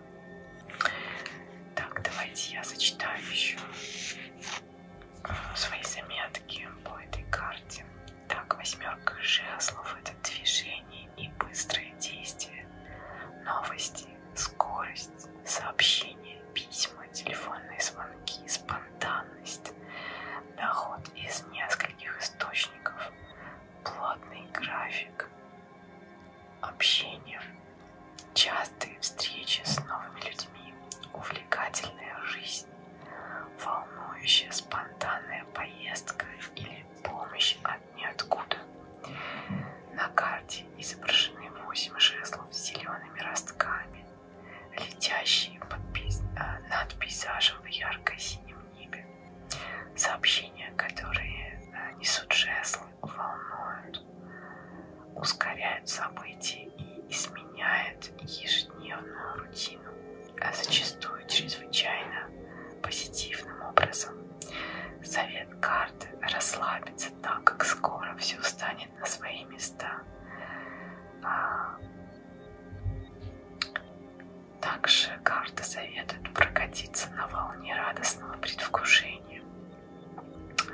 Так, давайте я зачитаю еще а, свои заметки по этой карте. Так, восьмерка жезлов – это движение и быстрое действие, новости, скорость, сообщения, письма, телефонные звонки, спонтанность, доход из нескольких источников, плотный график, общение, частые встречи с новыми людьми, увлекательная жизнь, волнующая спонтанная поездка или помощь от ниоткуда. На карте изображены восемь жезлов с зелеными ростками, летящие под пейз... Э, над пейзажем в ярко-синем небе. Сообщения, которые э, несут жезлы, волнуют, ускоряют события и изменяют ежедневную рутину, а зачастую чрезвычайно позитивным образом. Совет карты расслабиться, так как скоро все встанет на свои места. А, также карта советует прокатиться на волне радостного предвкушения.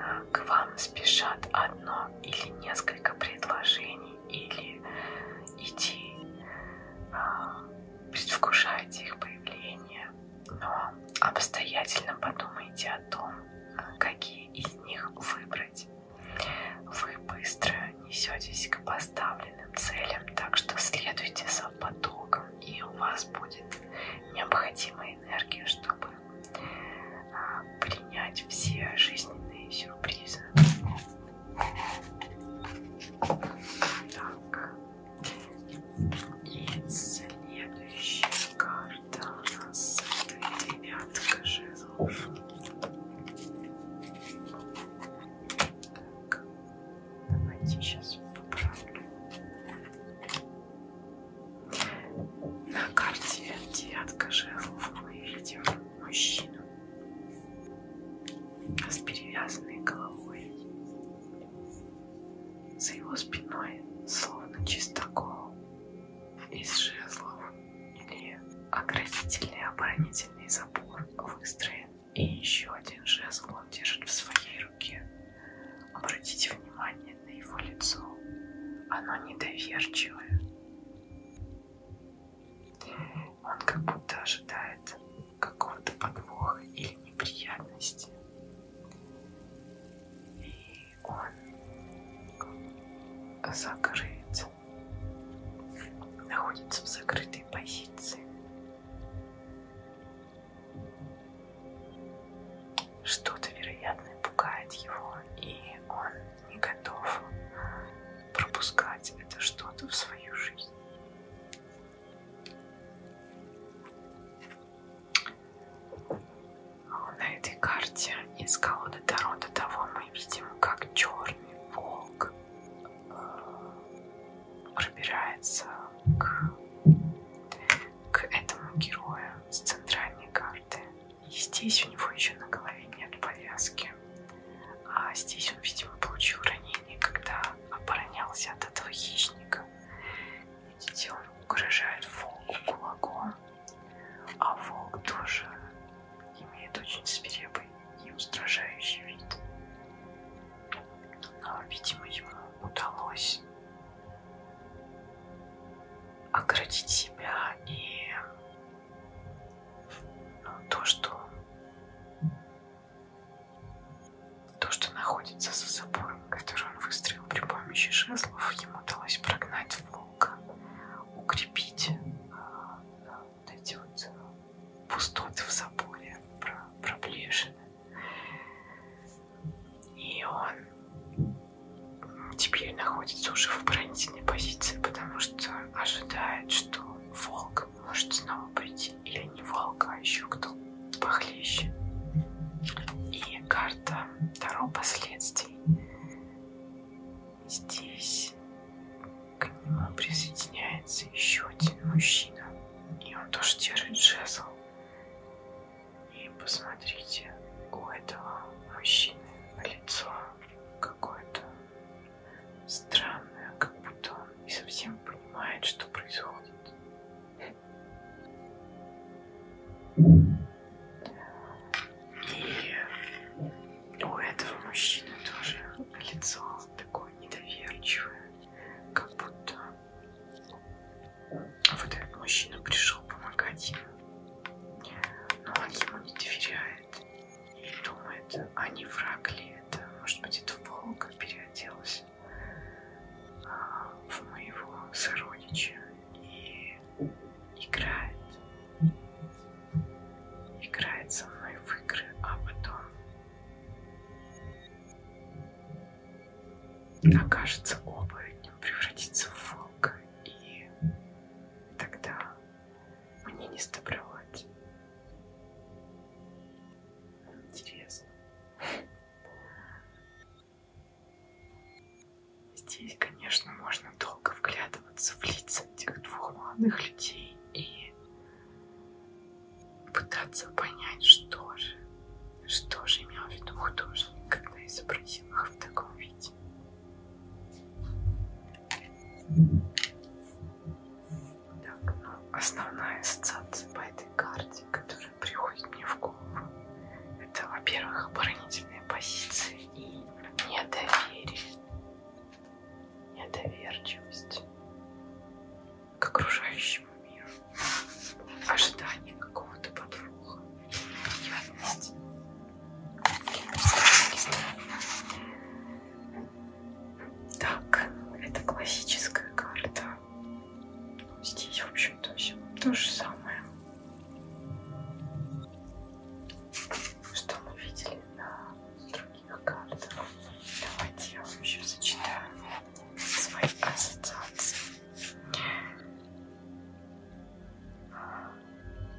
А, к вам спешат одно или несколько предложений или идей. А, предвкушайте их появление но обстоятельно подумайте о том, какие из них выбрать. Вы быстро несетесь к поставленным целям, так что следуйте за потоком, и у вас будет необходимая энергия, чтобы а, принять все жизненные сюрпризы. Так. Следующая карта у нас это девятка жезлов. Так, давайте сейчас поправлю. На карте девятка жезлов мы видим мужчину с перевязанной головой. За его спиной, словно чистокол, из жезлов или оградительный оборонительный забор выстроен. И еще один жезл он держит в своей руке. Обратите внимание на его лицо. Оно недоверчивое. Он как будто ожидает какого-то подвоха или неприятности. И он закрыт, находится в закрытой позиции. Что-то, вероятно, пугает его, и он не готов пропускать это что-то в свою жизнь. На этой карте из колоды Таро до того мы видим, как черный волк э, пробирается к, к этому герою с центральной карты. И здесь у него еще на голове нет повязки. А здесь он, видимо, получил ранение, когда оборонялся от этого хищника. Видите, он угрожает волку кулаком, а волк тоже имеет очень свирепый и устрашающий вид. Но, видимо, ему удалось оградить себя и ну, то, что то, что находится за собой, который он выстроил при помощи жезлов, ему удалось прогнать волка, укрепить э, вот эти вот э, пустоты в заборе, проблешины. И он теперь находится уже в оборонительной позиции, потому что ожидает, что волк может снова прийти или Среднего Волка еще кто похлеще. И карта Таро последствий. Здесь к нему присоединяется еще один мужчина. И он тоже держит жезл. И посмотрите, у этого мужчины лицо какое-то странное, как будто он не совсем понимает, что происходит. И у этого мужчины тоже лицо такое недоверчивое, как будто вот этот мужчина пришел помогать ему, но он ему не доверяет и думает, а не враг ли это, может быть это волк переоделся в моего сородича и играет. Играет со мной в игры, а потом окажется оборотнем, превратится в волка, и тогда мне не сдобровать. Интересно. Здесь, конечно, можно долго вглядываться в лица этих двух молодых людей и пытаться понять, что же, что же имел в виду художник, когда изобразил их в таком виде. Так, ну, основная ассоциация по этой карте, которая приходит мне в голову. Это, во-первых, оборонительные позиции и недоверие, недоверчивость к окружающему миру, ожидание какого-то подвоха, неприятности. Так, это классическая карта Здесь, в общем-то, все то же самое, что мы видели на других картах. Давайте я вам еще зачитаю свои ассоциации.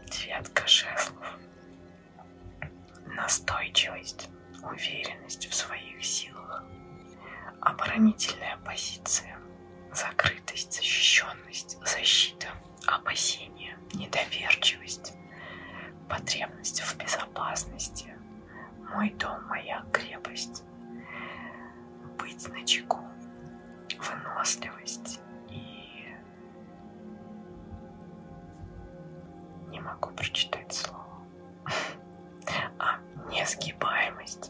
Девятка жезлов. Настойчивость, уверенность в своих силах, Оборонительная позиция, закрытость, защищенность, защита, опасение, недоверчивость, потребность в безопасности, мой дом, моя крепость, быть на чеку, выносливость и не могу прочитать слово. [laughs] А несгибаемость.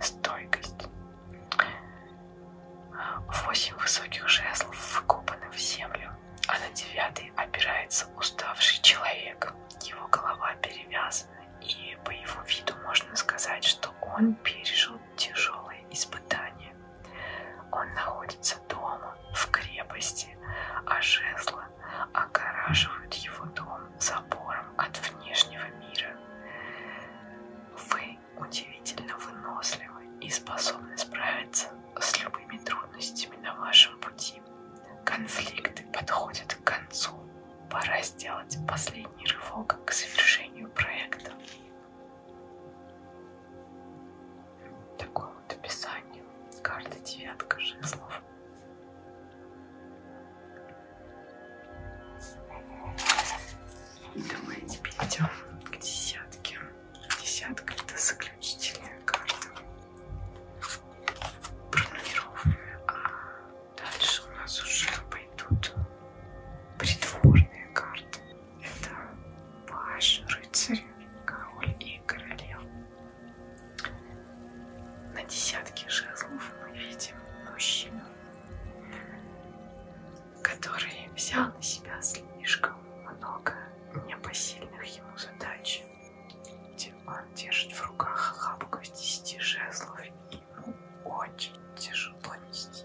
Стойкость. Стойкость. Восемь высоких жезлов вкопаны в землю, а на девятый опирается уставший человек. Его голова перевязана, и по его виду можно сказать, что он пережил тяжелые испытания. Он находится дома, в крепости, а жезлы огораживают его дом забором от внешнего мира. Вы удивительно выносливы и способны справиться с любыми трудностями на вашем пути. Конфликты подходят к концу. Пора сделать последний рывок к завершению проекта. Такое вот описание карты девятка жезлов. Думаю, теперь идем к десятке. Десятка это заключительная карта. Пронумерованная. А дальше у нас уже пойдут придворные карты. Это паш, рыцарь, король и королева. На десятке жезлов мы видим мужчину, который взял на себя слишком много непосильных ему задач. Он держит в руках хапку из десяти жезлов, и ему очень тяжело нести.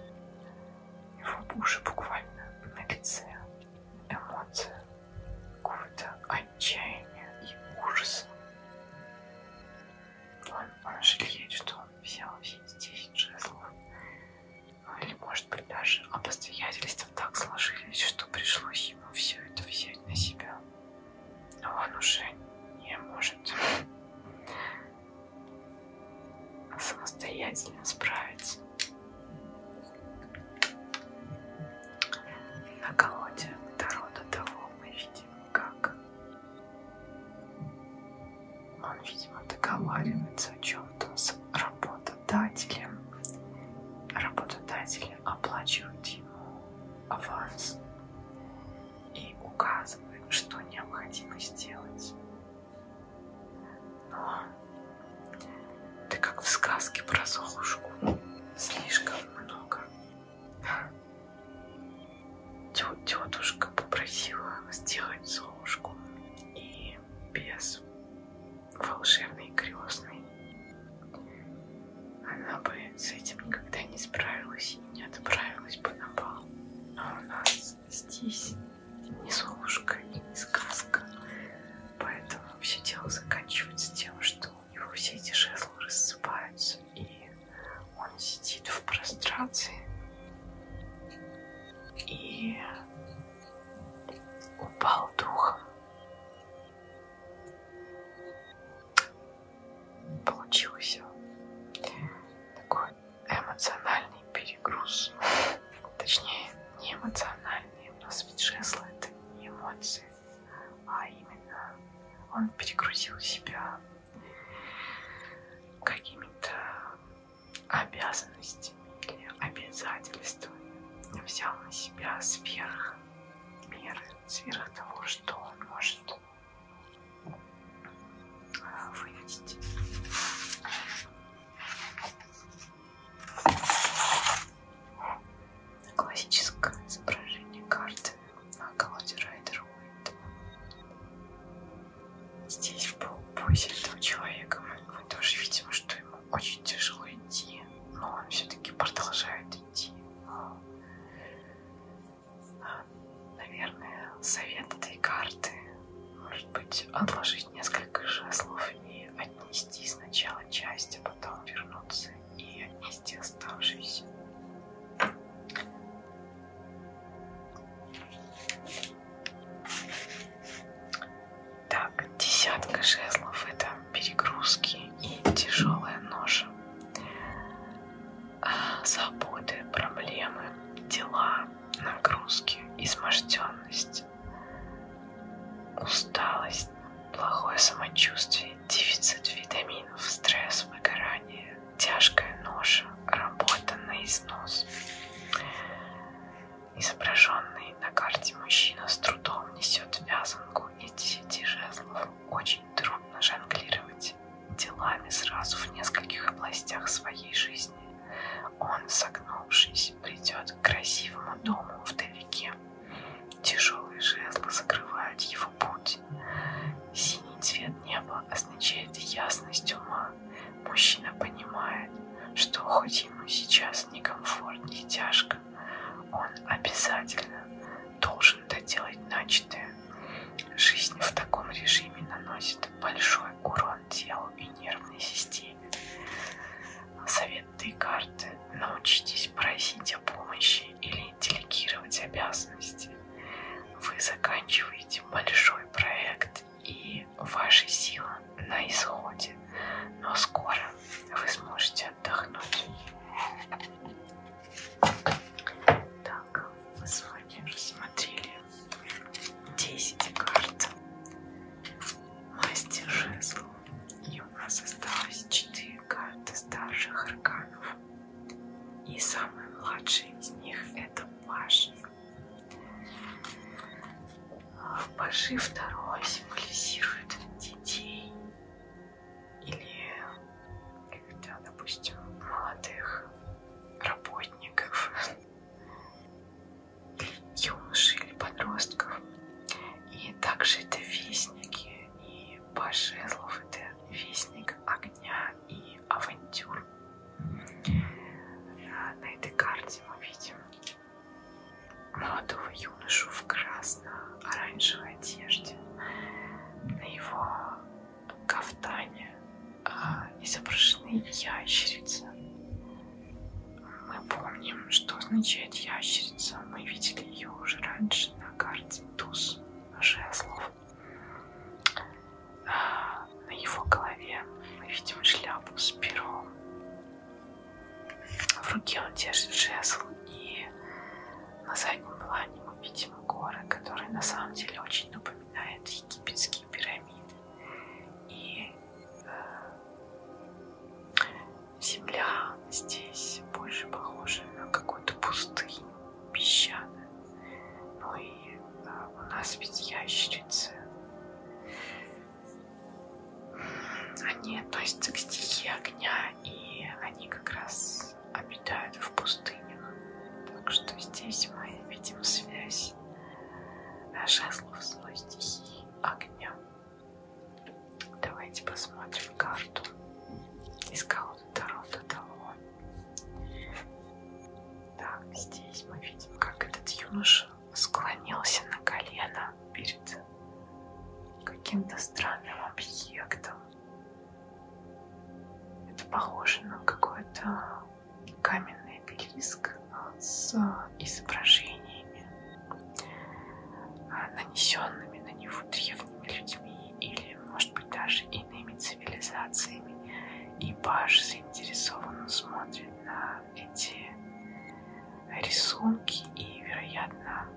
Его уши буквально на лице. Эмоция какого-то отчаяния и ужаса. Он, он жалеет, что он взял все эти 10 жезлов. Ну, или, может быть, даже обстоятельства так сложились, что пришлось ему все это взять на себя. Но а он уже не может самостоятельно справиться. На колоде Таро до того мы видим, как он, видимо, договаривается о чем-то с работодателем. Работодатель оплачивает ему аванс и указывает, что необходимо сделать. Но ты как в сказке про Золушку. Слишком много Тетушка попросила сделать золушку и без волшебной крестной. Она бы с этим никогда не справилась и не отправилась бы на бал. А у нас здесь не золушка и не сказка. Поэтому все дело заканчивается тем, что у него все эти жезлы рассыпаются, и он сидит в прострации. И упал духом. Получился такой эмоциональный перегруз. Точнее, не эмоциональный. У нас ведь жезлы это не эмоции, а именно он перегрузил себя какими-то обязанностями или обязательствами взял на себя сверх меры, сверх того, что он может э, вынести. Классическое изображение карты на колоде Райдер Уит. Здесь в полупозе этого человека мы тоже видим, что ему очень тяжело идти, но он все-таки продолжает идти. А, наверное, совет этой карты может быть отложить несколько жезлов и отнести сначала часть, а потом вернуться и из тех оставшиеся. Так, десятка жезлов это перегрузки и тяжелая ножа. Заботы, проблемы, дела, нагрузки, изможденность, усталость, плохое самочувствие, дефицит витаминов, стресс, выгорание, тяжкая ноша, работа на износ. Изображенный на карте мужчина с трудом несет вязанку и десяти жезлов. Очень трудно жонглировать делами сразу в нескольких областях своей жизни. Он, согнувшись, придет к красивому дому вдалеке. Тяжелые жезлы закрывают его путь грудь. Синий цвет неба означает ясность ума. Мужчина понимает, что хоть ему сейчас некомфортно и тяжко, он обязательно должен доделать начатое. Жизнь в таком режиме наносит большой урон телу и нервной системе. Совет Декарта. Научитесь просить о помощи задачи или делегировать обязанности. Вы заканчиваете большой проект и ваши силы на исходе, но скоро вы сможете отдохнуть. Так, мы с вами рассмотрели 10 карт мастер жезл, и у нас осталось 4 карты старших арканов. И самый младший из них это Паши. Паши второй символизирует детей или когда, допустим, молодых работников, юношей или подростков. И также это вестники, и Паш Жезлов это вестник огня дня и авантюр. А, на этой карте мы видим молодого юношу в красно-оранжевой одежде. На его кафтане а, изображены ящерицы. Мы помним, что означает ящерица. Мы видели ее уже раньше на карте Туз жезлов. На его голове мы видим шляпу с пером. В руке он держит жезл, и на заднем плане мы видим горы, которые на самом деле очень напоминают египетские пирамиды. И э, земля здесь больше похожа на какую-то пустыню песчаная. Ну и а, у нас ведь ящерицы. Они относятся к стихии огня, и они как раз обитают в пустынях. Так что здесь мы видим связь жезлов злой стихии огня. Давайте посмотрим карту из колоды Таро до того. Так, здесь мы видим, как этот юноша склонился на колено перед каким-то странным объектом. Это похоже на какой-то каменный обелиск с изображениями, а, нанесенными на него древними людьми или, может быть, даже иными цивилизациями цивилизациями, и Паш заинтересованно смотрит на эти рисунки и, вероятно,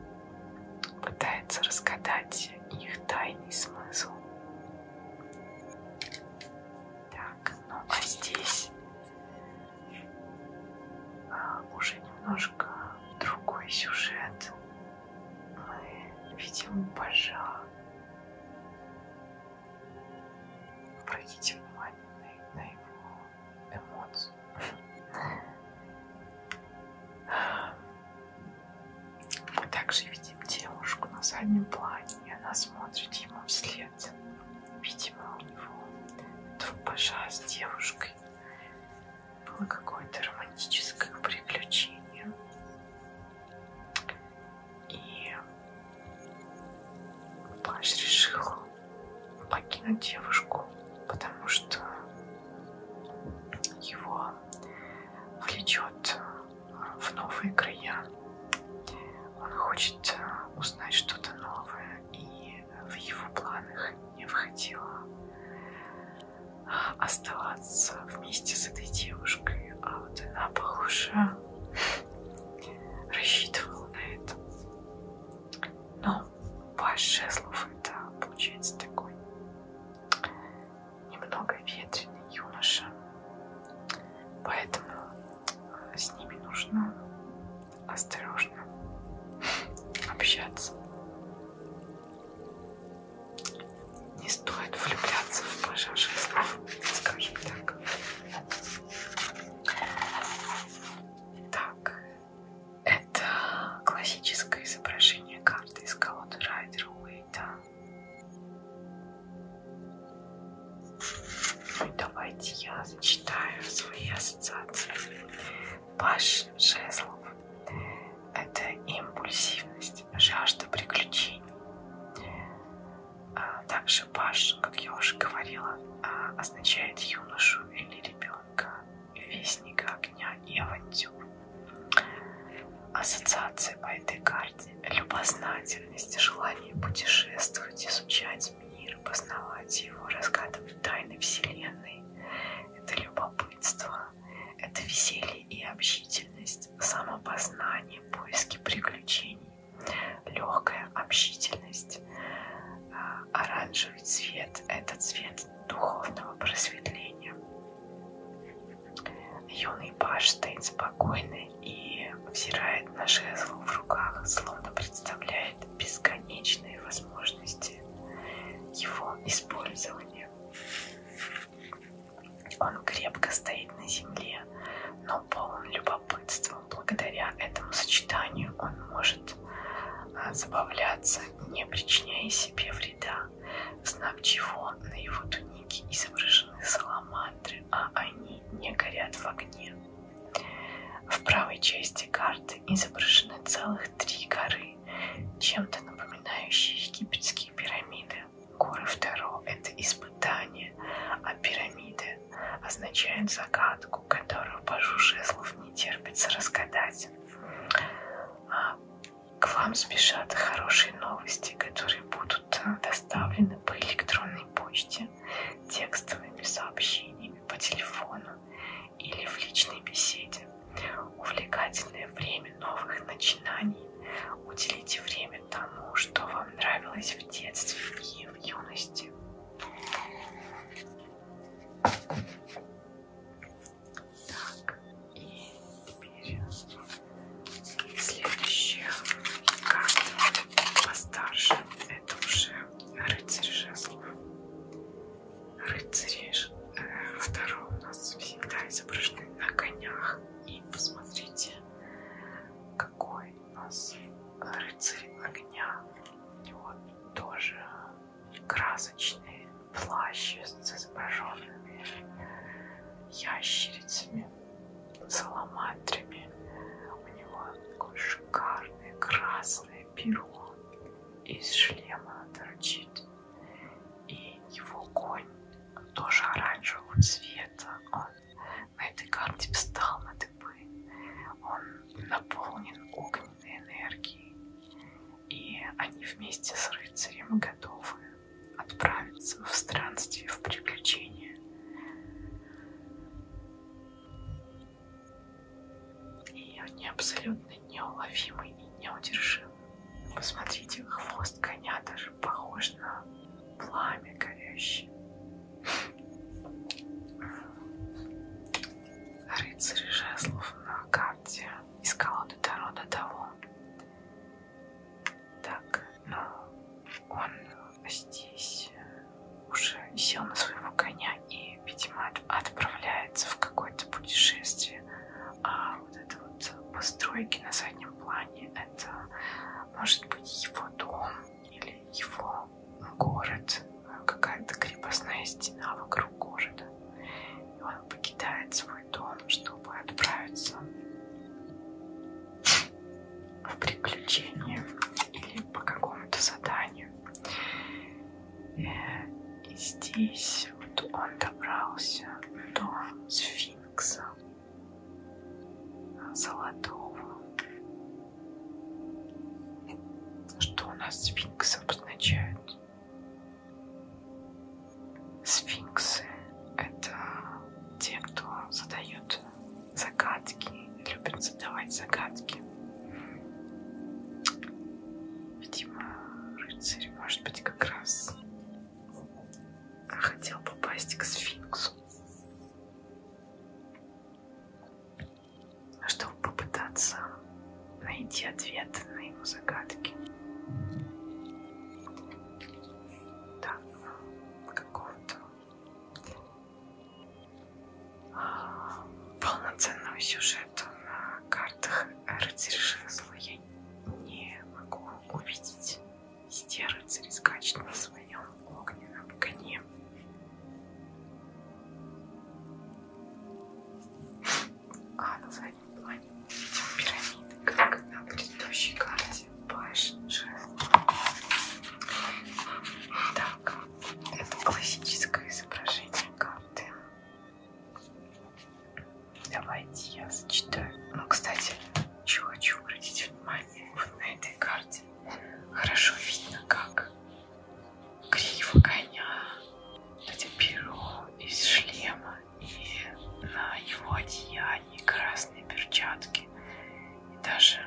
пытается разгадать их тайный смысл. Так, ну а здесь а, уже немножко другой сюжет. Мы видим Пажа Обратите внимание на, на его эмоции. Мы также видим девушку на заднем плане, и она смотрит ему вслед. Видимо, у него тупожа с девушкой было какое-то романтическое приключение. И Паш решил покинуть девушку, потому что его влечет в новые края. Он хочет узнать что-то новое, и в его планах не входило оставаться вместе с этой девушкой, а вот она, похоже, рассчитывала на это. Но паш жезлов это получается такой немного ветреный юноша, поэтому э, с ними нужно осторожно общаться. Не стоит влюбляться в пассажиров, скажем так. Так, это классическое изображение карты из колоды Райдер Уэйта. Ну, давайте я зачитаю свои ассоциации. Паш Жезлов это импульсивность, жажда приключений. А также паш, как я уже говорила, а, означает юношу или ребенка, вестника огня и авантюр. Ассоциация по этой карте – любознательность, желание путешествовать, изучать мир, познавать его, разгадывать тайны Вселенной. Это любопытство, это веселье и общительность, самопознание, поиски приключений, легкая общительность. А, оранжевый цвет – это цвет духовного просветления. Юный паж стоит спокойно и взирает на жезл в руках, словно представляет бесконечные возможности его использования. Он крепко стоит на земле, но полон любопытства. Благодаря этому сочетанию он может а, забавляться, не причиняя себе вреда, в знак чего на его тунике изображены саламандры, а они не горят в огне. В правой части карты изображены целых три горы, чем-то напоминающие египетские пирамиды. Горы Второ — это испытание, а пирамиды означают загадку, которую Пажу Жезлов не терпится разгадать. А к вам спешат хорошие новости, которые будут а, доставлены по электронной почте, текстовыми сообщениями по телефону или в личной беседе. Увлекательное время новых начинаний. Уделите время вами тому, что вам нравилось в детстве и в юности. Так, и теперь следующая карта постарше. Это уже рыцарь жезлов. Рыцари э, второго у нас всегда изображены на конях. И посмотрите, какой у нас рыцарь огня? У него тоже красочный плащ с изображенными ящерицами, саламандрами. У него такое шикарное красное перо из шлема торчит. И его конь тоже оранжевого цвета. Он на этой карте встал на дыбы. Он наполнен огненной энергией. И они вместе с рыцарем готовы отправиться в странстве, в приключения. И они абсолютно неуловимы и неудержимы. Посмотрите, хвост коня даже похож на пламя горящее. Рыцарь жезлов на карте из колоды Таро до того. Так, но ну, он здесь уже сел на своего коня и, видимо, отправляется в какое-то путешествие. А вот это вот постройки на заднем плане, это может быть, его дом или его город, какая-то крепостная стена вокруг города. И он покидает свой дом, чтобы отправиться в приключение или по какому-то заданию. И здесь вот он добрался до сфинкса золотого. Что у нас сфинкс обозначает? Сфинксы — это те, кто задает загадки, любят задавать загадки. Видимо, рыцарь может быть как раз хотел попасть к сфинксу, а чтобы попытаться найти ответ на его загадки. Да, какого-то полноценного сюжета на картах Эрцершезла я не могу увидеть. И те рыцари скачут на своем огненном коне. А на заднем плане мы видим пирамиды, как на предыдущей карте Паш Жест. Так, это классическое изображение карты. Давайте я зачитаю. Ну, кстати, еще хочу обратить внимание кстати, вот на этой карте хорошо видно, как гриф коня, эти перо из шлема и на его одеянии красные перчатки. И даже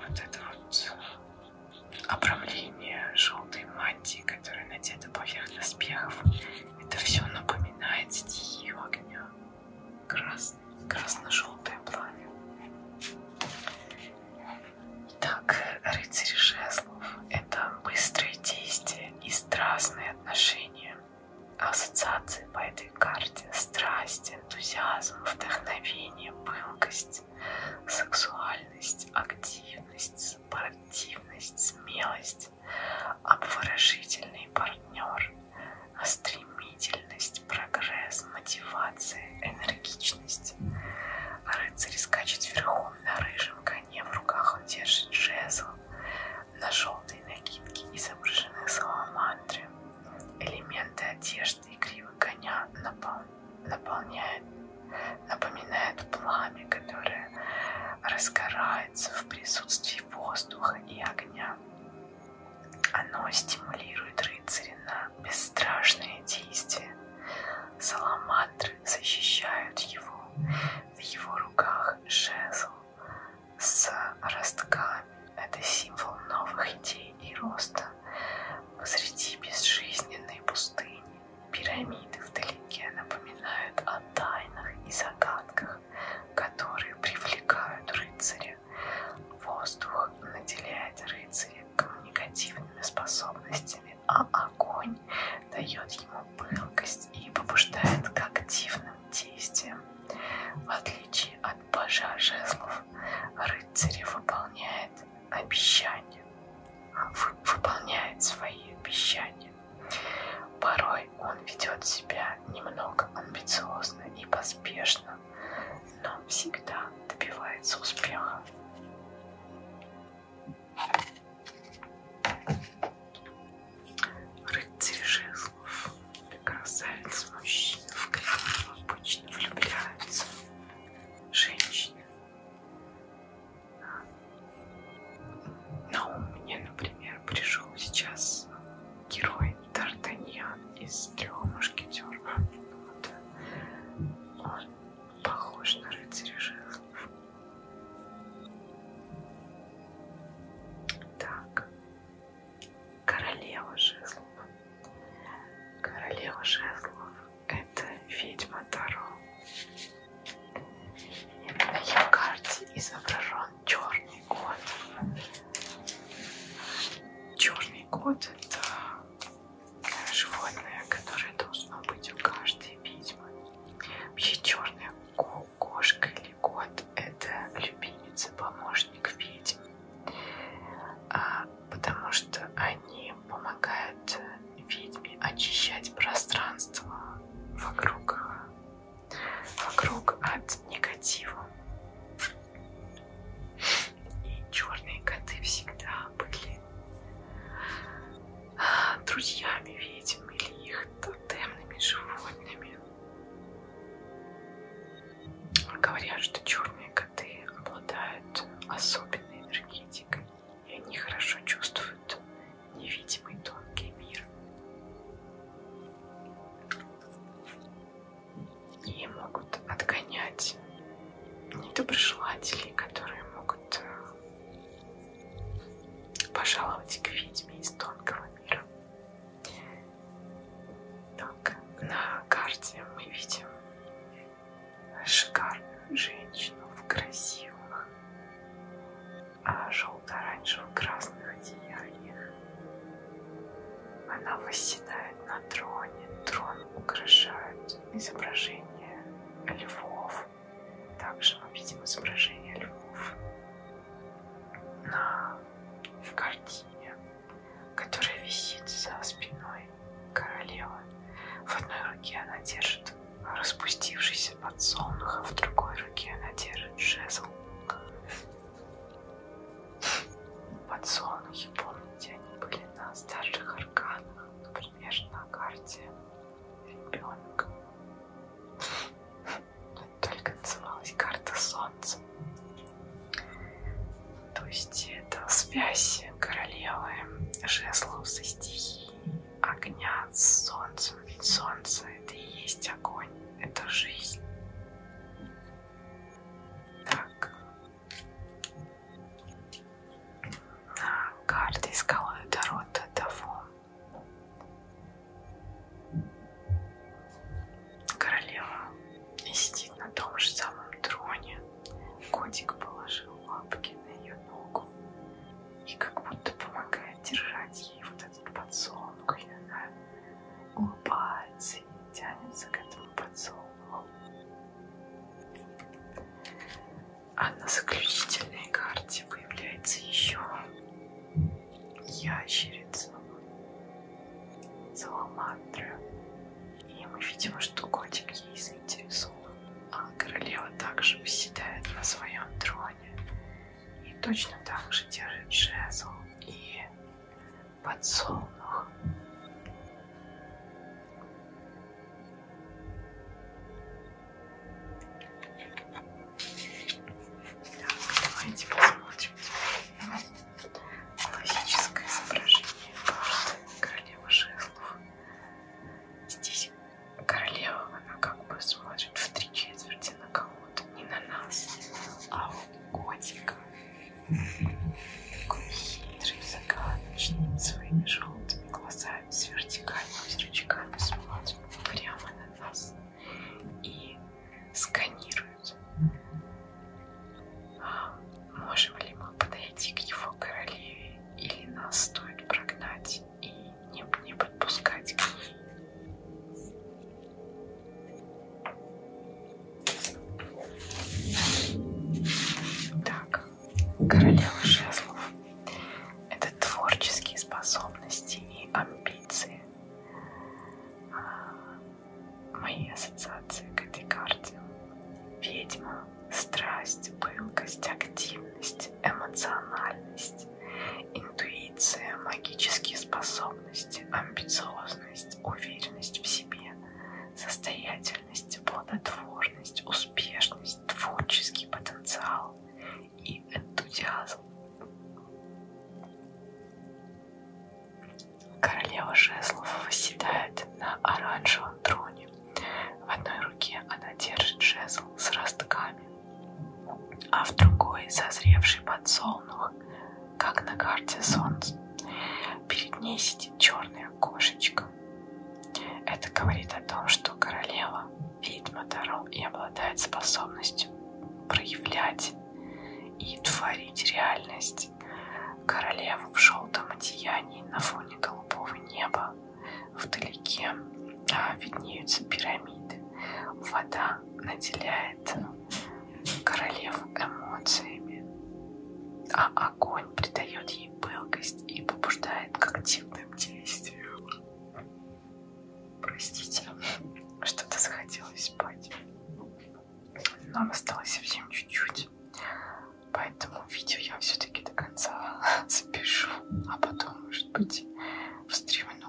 вот это вот обрамление желтой мантии, которая надета поверх доспехов, это все напоминает стихию огня красно-желтое пламя. Итак, рыцарь жезлов – это быстрые действия и страстные отношения. Ассоциации по этой карте – страсть, энтузиазм, вдохновение, пылкость, сексуальность, активность, спортивность, смелость, обворожительный партнер, стремительность, прогресс, мотивация, энергичность. Рыцарь скачет верхом на рыжем коне, в руках он держит жезл. На желтой накидке изображены саламандры. Элементы одежды и кривы коня напол... наполняют, напоминают пламя, которое разгорается в присутствии воздуха и огня. Оно стимулирует рыцаря на бесстрашные действия. Саламандры защищают его. В его руках жезл с ростками. Это символ новых идей и роста. Посреди безжизненной пустыни пирамиды вдалеке напоминают о тайнах и загадках которые привлекают рыцаря. Воздух наделяет рыцаря коммуникативными способностями, а огонь дает ему пылкость и побуждает к активным действиям. В отличие от пажа жезлов, рыцарь выполняет обещания, выполняет свои обещания. Порой он ведет себя немного амбициозно и поспешно, но всегда добивается успеха. Рыцарь жезлов. Красавец мужчина в которого обычно влюбляются женщины. Но у меня, например, пришел сейчас герой Д'Артаньян из трех мушкетеров. Вот. Он похож на рыцаря жезлов. Так. Королева жезлов. Королева жезлов. Это ведьма Таро. На ее карте изображен черный кот. Черный кот это животное, которое должно быть у каждой ведьмы. Вообще черная кошка или кот это любимица, помощник ведьм. А, потому что они помогают ведьме очищать пространство вокруг вокруг от негатива. И черные коты всегда были друзьями ведьм или их тотемными животными. Говорят, что черные коты обладают особенной энергетикой, и они хорошо чувствуют невидимый тонкий мир и могут отгонять недоброжелателей, которые могут э, пожаловать к ведьме из тонкого мира. Так, на карте мы видим шикарную женщину в красивых а, желто-оранжево-красных одеяниях она восседает на троне. Трон украшают изображение львов. Также мы ну, видим изображение львов на в картине, которая висит за спиной королевы. В одной руке она держит распустившийся подсолнух, а в другой руке она держит жезл. Подсолнухи, помните, они были на старших арканах, например, на карте ребенка. Только называлась карта солнца. То есть это связь королевы жезлов со стихией огня с солнцем. Ведь солнце это и есть огонь, это жизнь. Так. На карте скалы Дорота того. Королева и сидит на том же самом троне. Котик положил лапки на ее ногу и как будто помогает держать ей вот этот подсолнух. И она улыбается, тянется к этому подсолнуху. А на заключительной карте появляется еще ящерица, саламандра. И мы видим, что котик ей заинтересован. А королева также восседает на своем троне и точно так же держит жезл и подсолнух. Так, давайте посмотрим классическое изображение королевы жезлов. Здесь королева, она как бы смотрит в три четверти на кого работу не на нас, а у котика. Такой хитрый, загадочный, своими желтыми глазами, с вертикальными зрачками смотрит прямо на нас и сканирует. А можем ли мы подойти к его королеве или нас стоит прогнать и не, не подпускать к ней? Так, королева жезлов. Это творческие способности и амбиции. А, мои ассоциации к этой карте. Ведьма, страсть, пылкость, активность, эмоциональность, интуиция, магические способности, амбициозность уверенность, уверенность в себе, состоятельность, плодотворность, успешность, творческий потенциал и энтузиазм. Королева жезлов восседает на оранжевом троне. В одной руке она держит жезл с ростками, а в другой созревший подсолнух как на карте солнца. Перед ней сидит черная кошечка. Это говорит о том, что королева ведьма Таро и обладает способностью проявлять и творить реальность. Королеву в желтом одеянии на фоне голубого неба вдалеке а, виднеются пирамиды. Вода наделяет королев эмоциями, а огонь придает ей пылкость и побуждает к активным действиям. Простите, [laughs] что-то захотелось спать. Нам осталось совсем чуть-чуть, поэтому видео я все-таки до конца [laughs] запишу, а потом, может быть, встримну.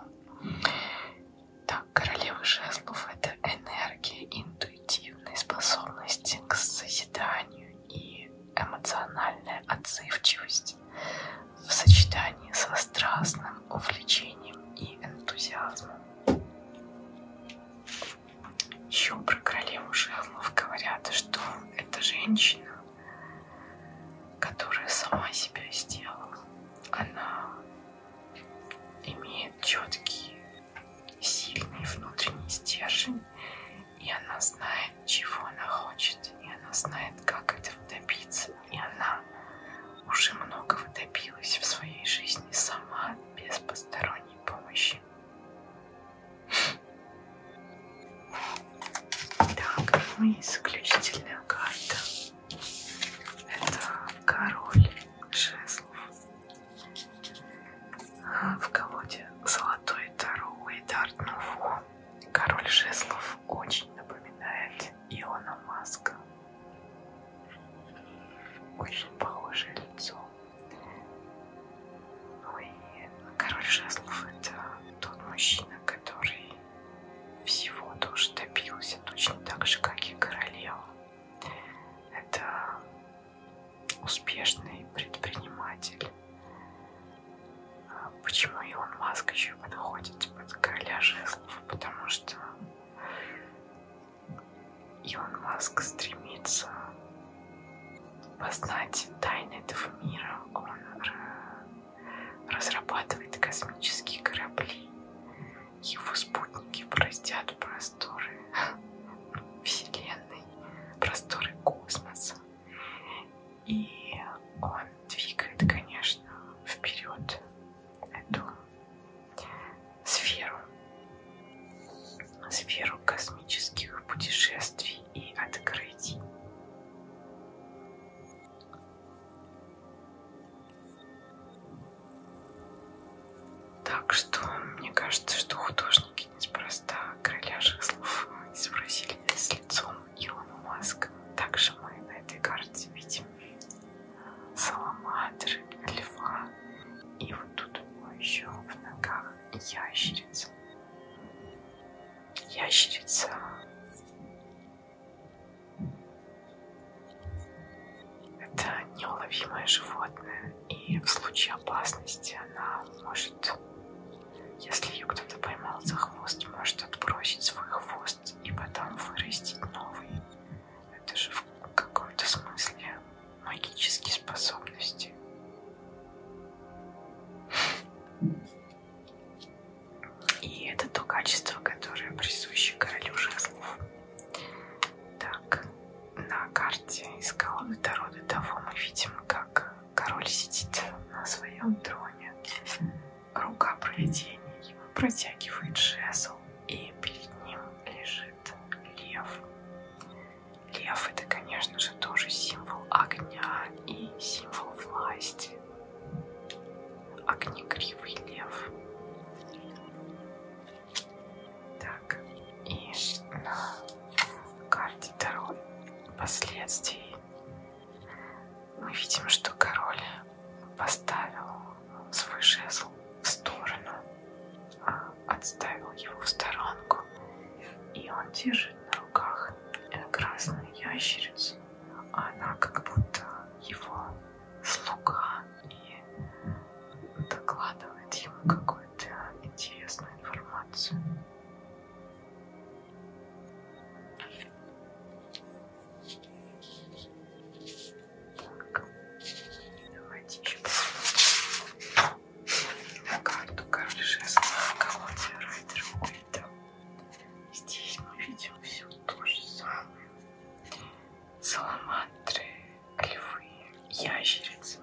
Так, королева жезлов — это энергия, интуитивные способности к созиданию и эмоциональная отзывчивость в сочетании со страстным увлечением и энтузиазмом. Еще про королеву жезлов говорят, что это женщина, которая сама себя сделала. Она имеет четкие сильный внутренний стержень, и она знает, чего она хочет, и она знает, как этого добиться, и она уже многого добилась в своей жизни сама, без посторонней помощи. Так, ну и заключительная карта. Это король жезлов. В колоде «Золотой Таро» Уэйдард Нуфу король жезлов очень напоминает Иона Маска. Очень похожее лицо. Ну и король жезлов это тот мужчина, который всего тоже добился точно так же, как и королева. Это успешный предприниматель. А почему Илон Маск еще подходит под короля жезлов? Потому что Илон Маск стремится познать тайны этого мира. Он разрабатывает космические корабли его спутники простят просторы Вселенной, просторы космоса. И он двигает, конечно, вперед эту сферу, сферу космических путешествий и открытий. Так что, мне кажется, что художники неспроста крыляжих слов изобразили с лицом Илона Маска. Также мы на этой карте видим саламандры, льва и вот тут у него еще в ногах ящерица. Ящерица это неуловимое животное, и в случае опасности она может, если ее кто-то поймал за хвост, может отбросить свой хвост и потом вырастить новый. Это же в каком-то смысле магические способности. И это то качество, которое присуще королю жезлов. Так, на карте из головы до рода того мы видим, как король сидит на своем троне. Рука провидения ему протягивает жезл, и перед ним лежит лев. Лев это, конечно же, тоже символ огня и символ власти. Огнегривый лев. Так, и на карте король последствий мы видим, что король поставил свой жезл в сторону, а, отставил его в сторонку, и он держит на руках красную ящерицу. Она как будто его слуга, и докладывает ему какую-то интересную информацию. Так. Давайте еще посмотрим карту король жезлов колоде Райдер Уэйда. Здесь мы видим все то же самое саламандры, львы, ящерицы.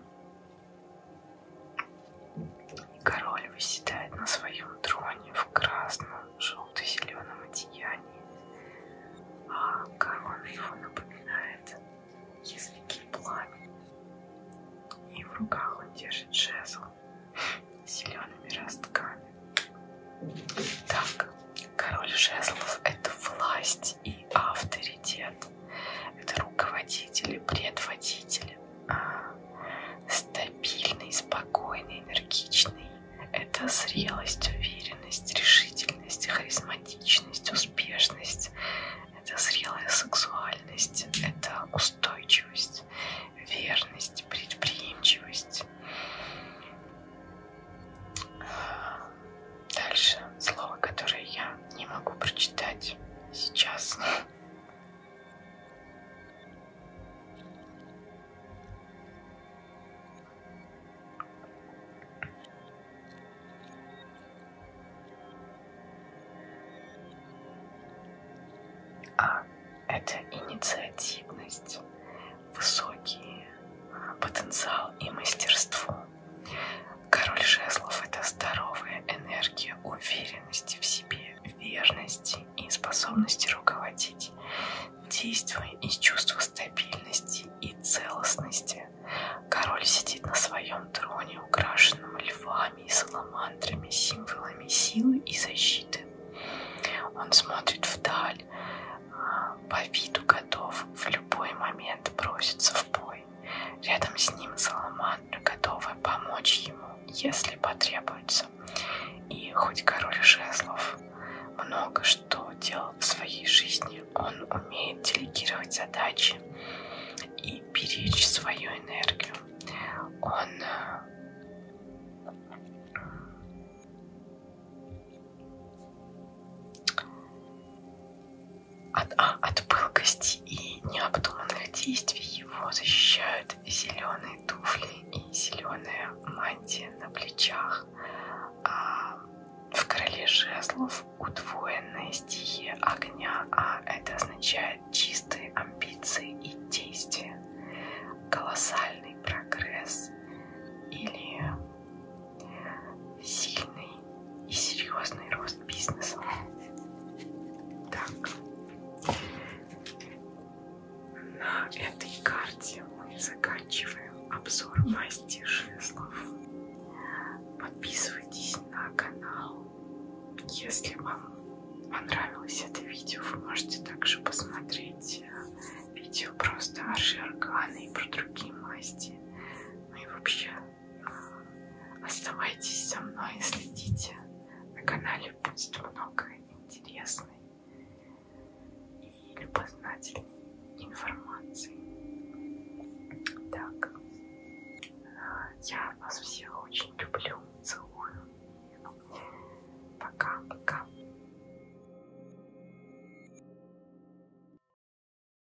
И король выседает на своем троне в красном, желто-зеленом одеянии, а корона его напоминает языки пламени. И в руках он держит жезл с зелеными ростками. Так, король жезлов — это власть власть и авторитет. Это руководители, предводители. А стабильный, спокойный, энергичный. Это зрелость, уверенность, решительность, харизматичность, успешность. Это зрелая сексуальность, это устойчивость, верность, предприимчивость. Дальше слово, которое я не могу прочитать сейчас. А это инициативность, высокий потенциал и мастерство. Король жезлов — это здоровая энергия уверенности в себе, верности и способности руководить, действуя из чувства стабильности и целостности. Король сидит на своем троне, украшенном львами и саламандрами, символами силы и защиты. Он смотрит вдаль, а, по виду готов в любой момент броситься в бой собой. Рядом с ним Саламандра, готовая помочь ему, если потребуется. И хоть король жезлов много что делал в своей жизни, он умеет делегировать задачи и беречь свою энергию. Он э, от, а, от пылкости и необдуманных действий его защищают зеленые туфли и зеленая мантия на плечах. А в короле жезлов удвоенная стихия огня, а это означает чистые амбиции и действия, колоссальный прогресс или сильный и серьезный рост бизнеса. Так, на этой карте мы заканчиваем обзор масти жезлов. Подписывайтесь на канал. Если вам понравилось это видео, вы можете также посмотреть э, видео просто о Шеркане и про другие масти. Ну и вообще Оставайтесь со мной и следите. На канале будет много интересной и любознательной информации. Так, я вас всех очень люблю, целую. Пока-пока.